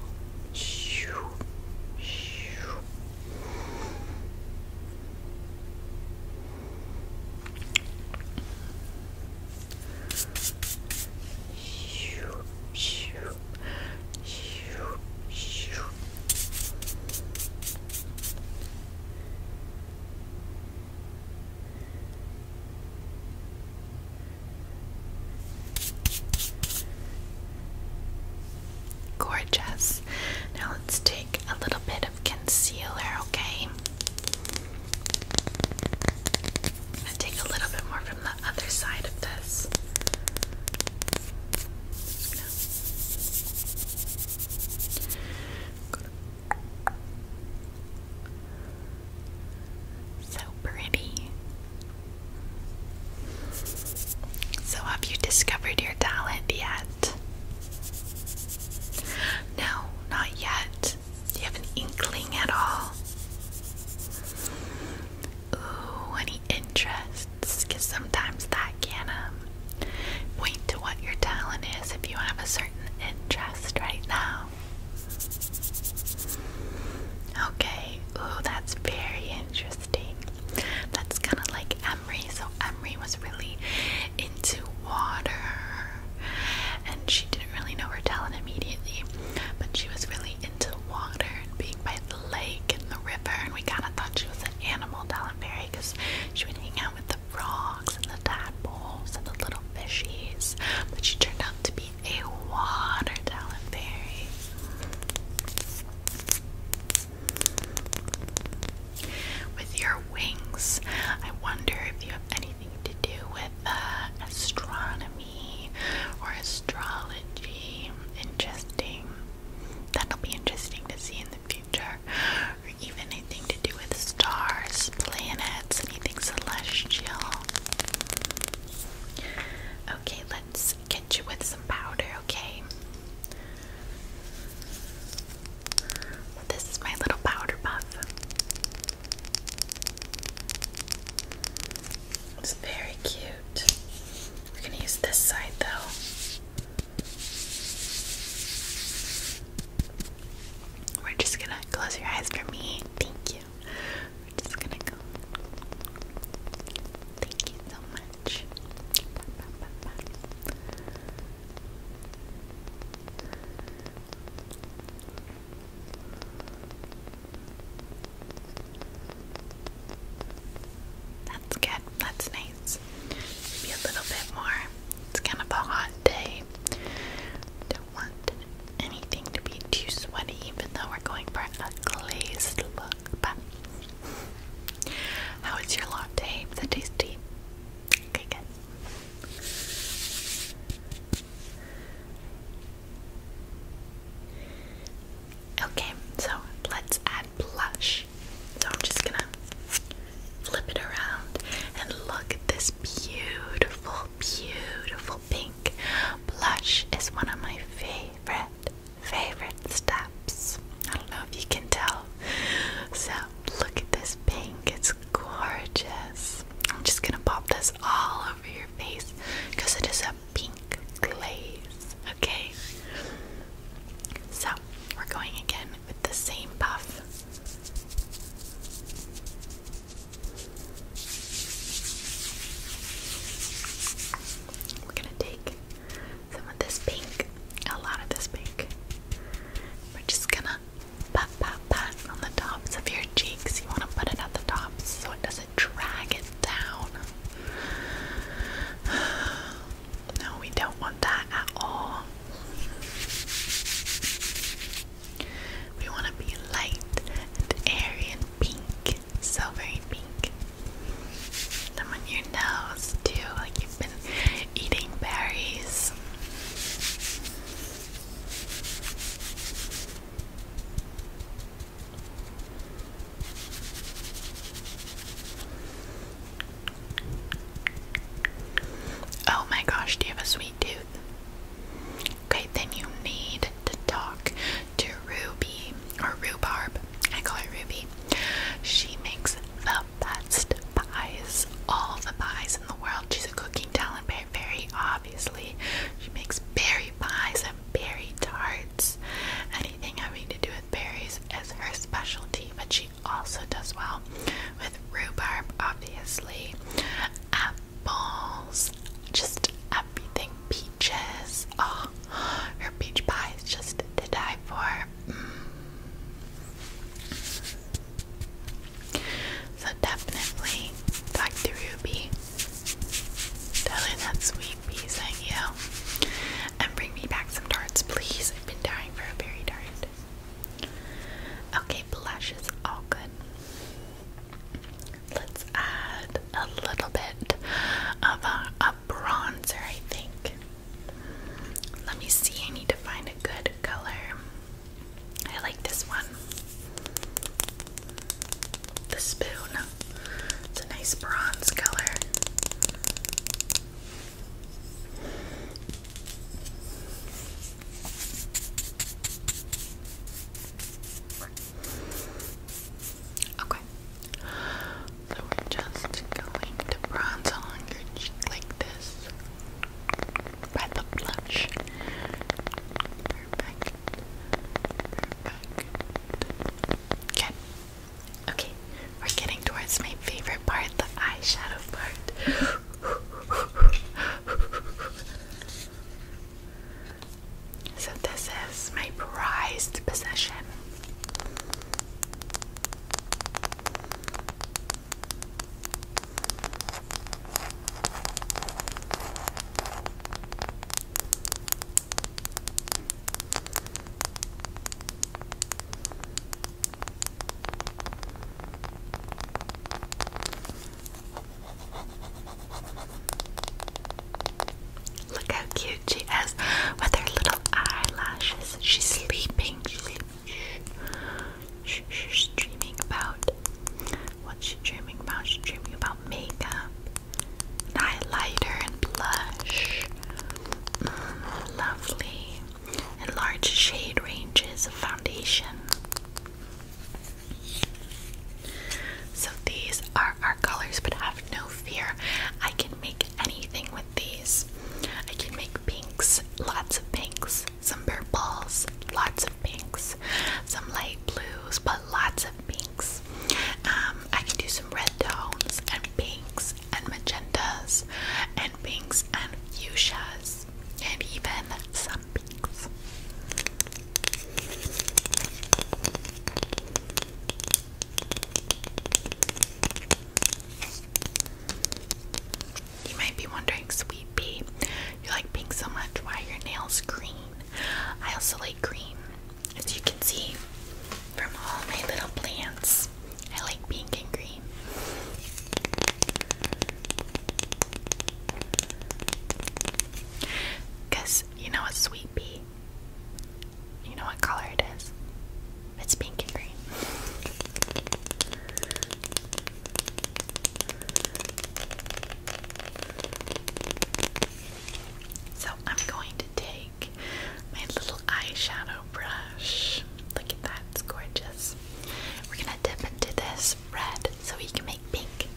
Speaker 1: shoo. Shoo, shoo, shoo, shoo. Gorgeous. Now let's take a little bit of concealer, okay? i take a little bit more from the other side of this. So pretty. So, have you discovered your talent yet? No, not yet. Do you have an inkling at all? Ooh, any interest? because sometimes that can um, point to what your talent is if you have a certain interest right now. Okay, ooh, that's very interesting. That's kind of like Emery. So, Emery was really into water and she didn't really know her talent immediately, but she was really into water and being by the lake and the river. And we kind of thought she was an animal talent fairy because she would hang out with the frogs and the tadpoles and the little fishies, but she turned out to be a water fairy. With your wings, I wonder if you have anything to do with uh, astronomy or astrology. Interesting. That'll be interesting to see in the future or anything to do with stars, planets, anything celestial. Okay, let's get you with some powder, okay? This is my little powder puff. It's very cute. We're gonna use this side though. We're just gonna close your eyes for me. Thank you. We're just gonna go. Thank you so much. That's good. That's nice. Maybe a little bit more. It's kind of a hot day. Don't want anything to be too sweaty, even though we're going for a glazed look. But how is your latte? Is it tasty? Okay, Okay, so let's add blush. So I'm just gonna flip it around and look at this beautiful, beautiful pink. Blush is one of my favorite, favorite steps. I don't know if you can tell. So look at this pink, it's gorgeous. I'm just gonna pop this all over your face because it is a pink glaze. Okay, so we're going again with the same puff. We're gonna take some of this pink, a lot of this pink. We're just gonna pat, pat, pat on the tops of your cheeks. You wanna put it at the tops so it doesn't drag it down. No, we don't want that at all. We want to be light and airy and pink, so very pink. Some on your nose too, like you've been eating berries. Oh my gosh, do you have a sweet tooth? Okay, then you need to talk to Ruby or Rhubarb. I call her Ruby. She makes the best pies, all the pies in the world. She's a cooking talent, very obviously. She makes berry pies and berry tarts. Anything having to do with berries is her specialty, but also does well with rhubarb, obviously, apples, just everything, peaches. Oh, her peach pie is just to die for. Mm. So definitely back to Ruby. Tell her that sweet pea sent you. And bring me back some tarts, please. I've been dying for a berry tart. Okay, blush is all good. Let's add a little bit of a, a bronzer, I think. Let me see, I need to find a good color. I like this one. The spoon. It's a nice bronze color. Okay. So we're just going to bronze on your cheek like this. By the blush. Perfect. Perfect. Okay. Okay. We're getting towards my favorite part, the eyeshadow part. so, this is my prized possession. Look how cute she is with her little eyelashes. She's sleeping. She's dreaming about what's she dreaming about? She's dreaming about makeup, highlighter, and blush. Mm, lovely and large shade ranges of foundation. So these are our colors, but have no fear. I can make anything with these. I can make pinks, lots of pinks, some purples, lots of pinks, some light blues, but lots of pinks. Um, I can do some red tones and pinks and magentas and pinks and fuchsias and even some pinks. You might be wondering, sweet pea, you like pink so much, why your nails green? I also like green. As you can see from all my little plants, I like pink and green. Because you know what sweet pea? You know what color it is? It's pink and green. So I'm going to take my little eyeshadow brush. Look at that, it's gorgeous. We're gonna dip into this red so we can make pink.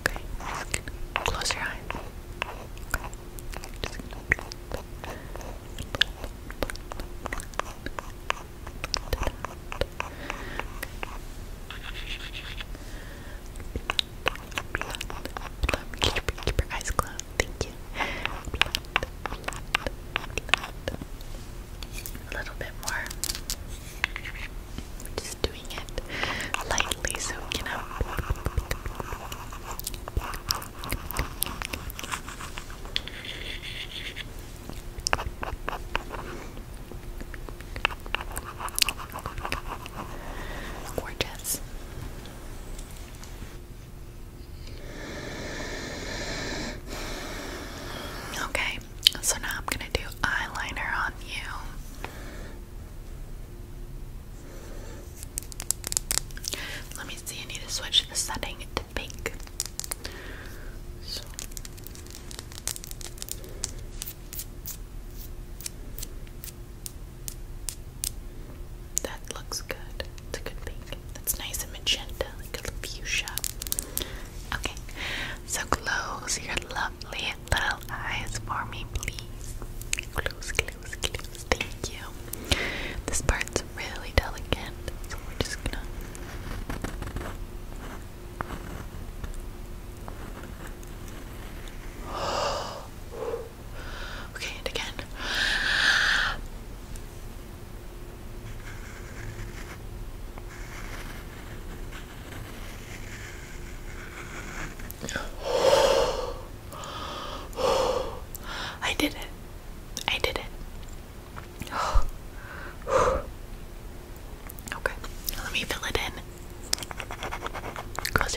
Speaker 1: Okay, close your eyes. Keep, keep your eyes closed. Thank you. A little bit more. Just doing it lightly so you know. Gorgeous. Okay, so now I'm going to do eyeliner on you. Let me see, I need to switch the setting to pink. That looks good. It's a good pink. That's nice and magenta, like a fuchsia. Okay, so close your lovely little eyes for me, please. Close, close, close. Thank you. This part's really delicate, so we're just gonna. Okay, and again. I did it. I did it. Okay, let me fill it in. Close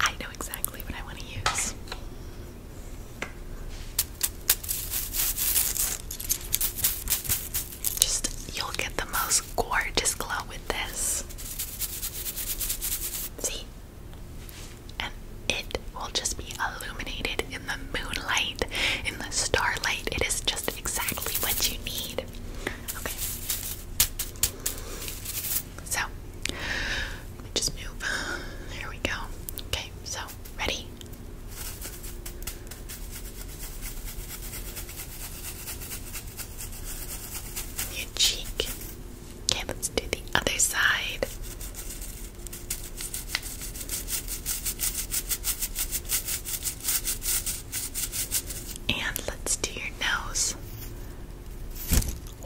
Speaker 1: I know exactly what I want to use. Just, you'll get the most gorgeous glow with this. See? And it will just be illuminated in the moonlight, in the starlight. It is just exactly what you need. Okay. So let just move. There we go. Okay, so ready? Your cheek. Okay, let's do the other side. And let's do your nose.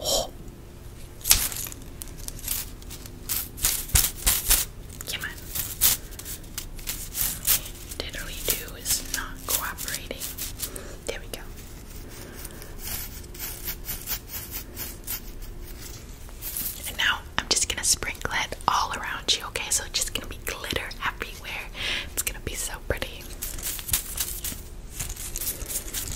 Speaker 1: Oh, Come on. Diddly do is not cooperating. There we go. And now I'm just gonna sprinkle it all around you, okay? So it's just gonna be glitter everywhere. It's gonna be so pretty.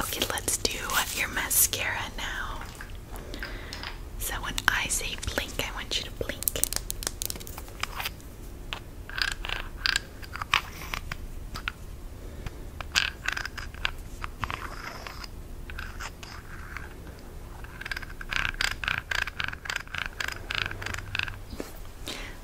Speaker 1: Okay, let's do your mascara now. So when I say blink, I want you to blink.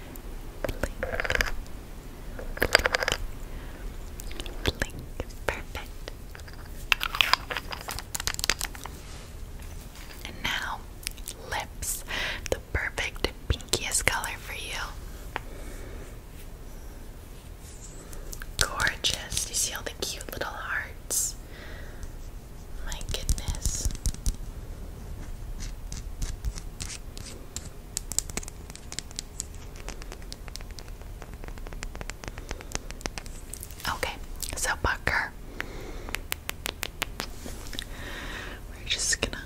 Speaker 1: blink, blink, perfect. And now, lips, the perfect pinkiest color for you. Gorgeous. You see all the cute little hearts? My goodness. Okay, so Bucker, we're just gonna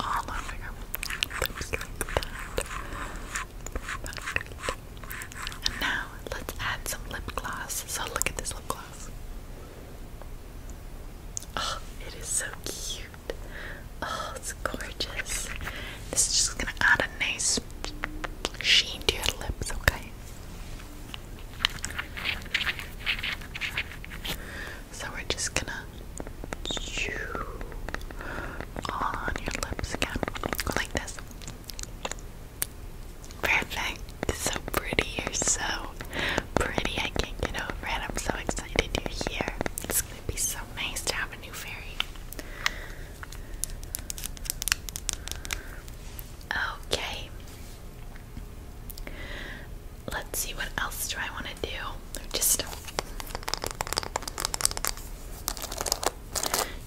Speaker 1: all over your And now let's add some lip gloss. So look at this lip gloss. Oh, it is so cute. Oh, it's gorgeous. This is just gonna add a nice sheen to your lips, okay? So we're just gonna chew on your lips again. like this. Perfect. so pretty. You're so pretty. I can't get over it. I'm so excited you're here. It's gonna be so nice to have a new fairy. Okay. Let's see what else do I want to do. Just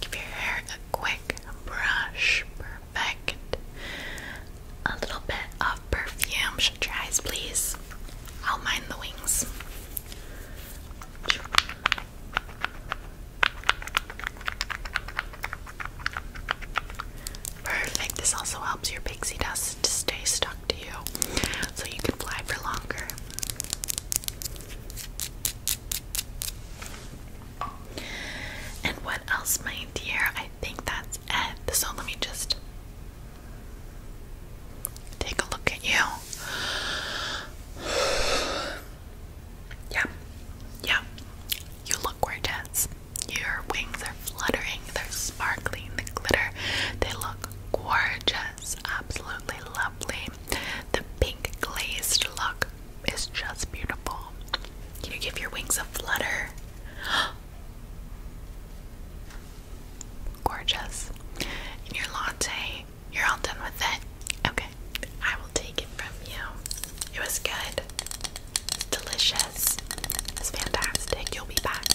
Speaker 1: give your hair a quick brush. A little bit of perfume. Shut your eyes, please. I'll mind the wings. Perfect. This also helps your pixie dust to stay stuck to you so you can fly for longer. And what else, my dear? I think that's it. So let me just take a look at you. Yeah, yeah. You look gorgeous. Your wings are fluttering, they're sparkling, the glitter, they look gorgeous, absolutely lovely. The pink glazed look it's just beautiful. Can you give your wings a flutter? Gorgeous. And your latte, you're all done with it? Okay, I will take it from you. It was good. It's delicious. It's fantastic. You'll be back.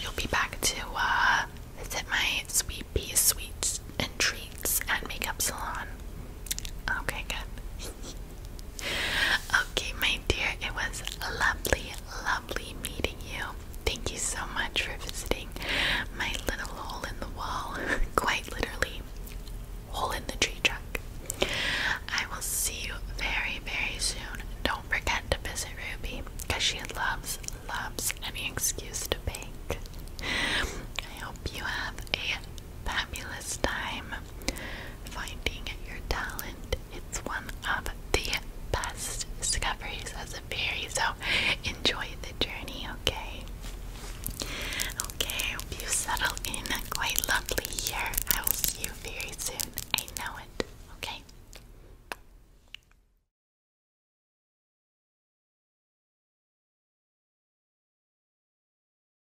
Speaker 1: You'll be back to uh, visit my sweet sweets and treats at Makeup Salon. Okay, good. Okay, my dear, it was lovely, lovely meeting you. Thank you so much for visiting my little hole in the wall. Quite literally, hole in the tree trunk. I will see you very, very soon. Don't forget to visit Ruby because she loves, loves any excuse to bake. I hope you have a fabulous time Finding your talent, it's one of the best discoveries as a fairy, so enjoy the journey, okay? Okay, I hope you settle in quite lovely here. I will see you very soon. I know it, okay?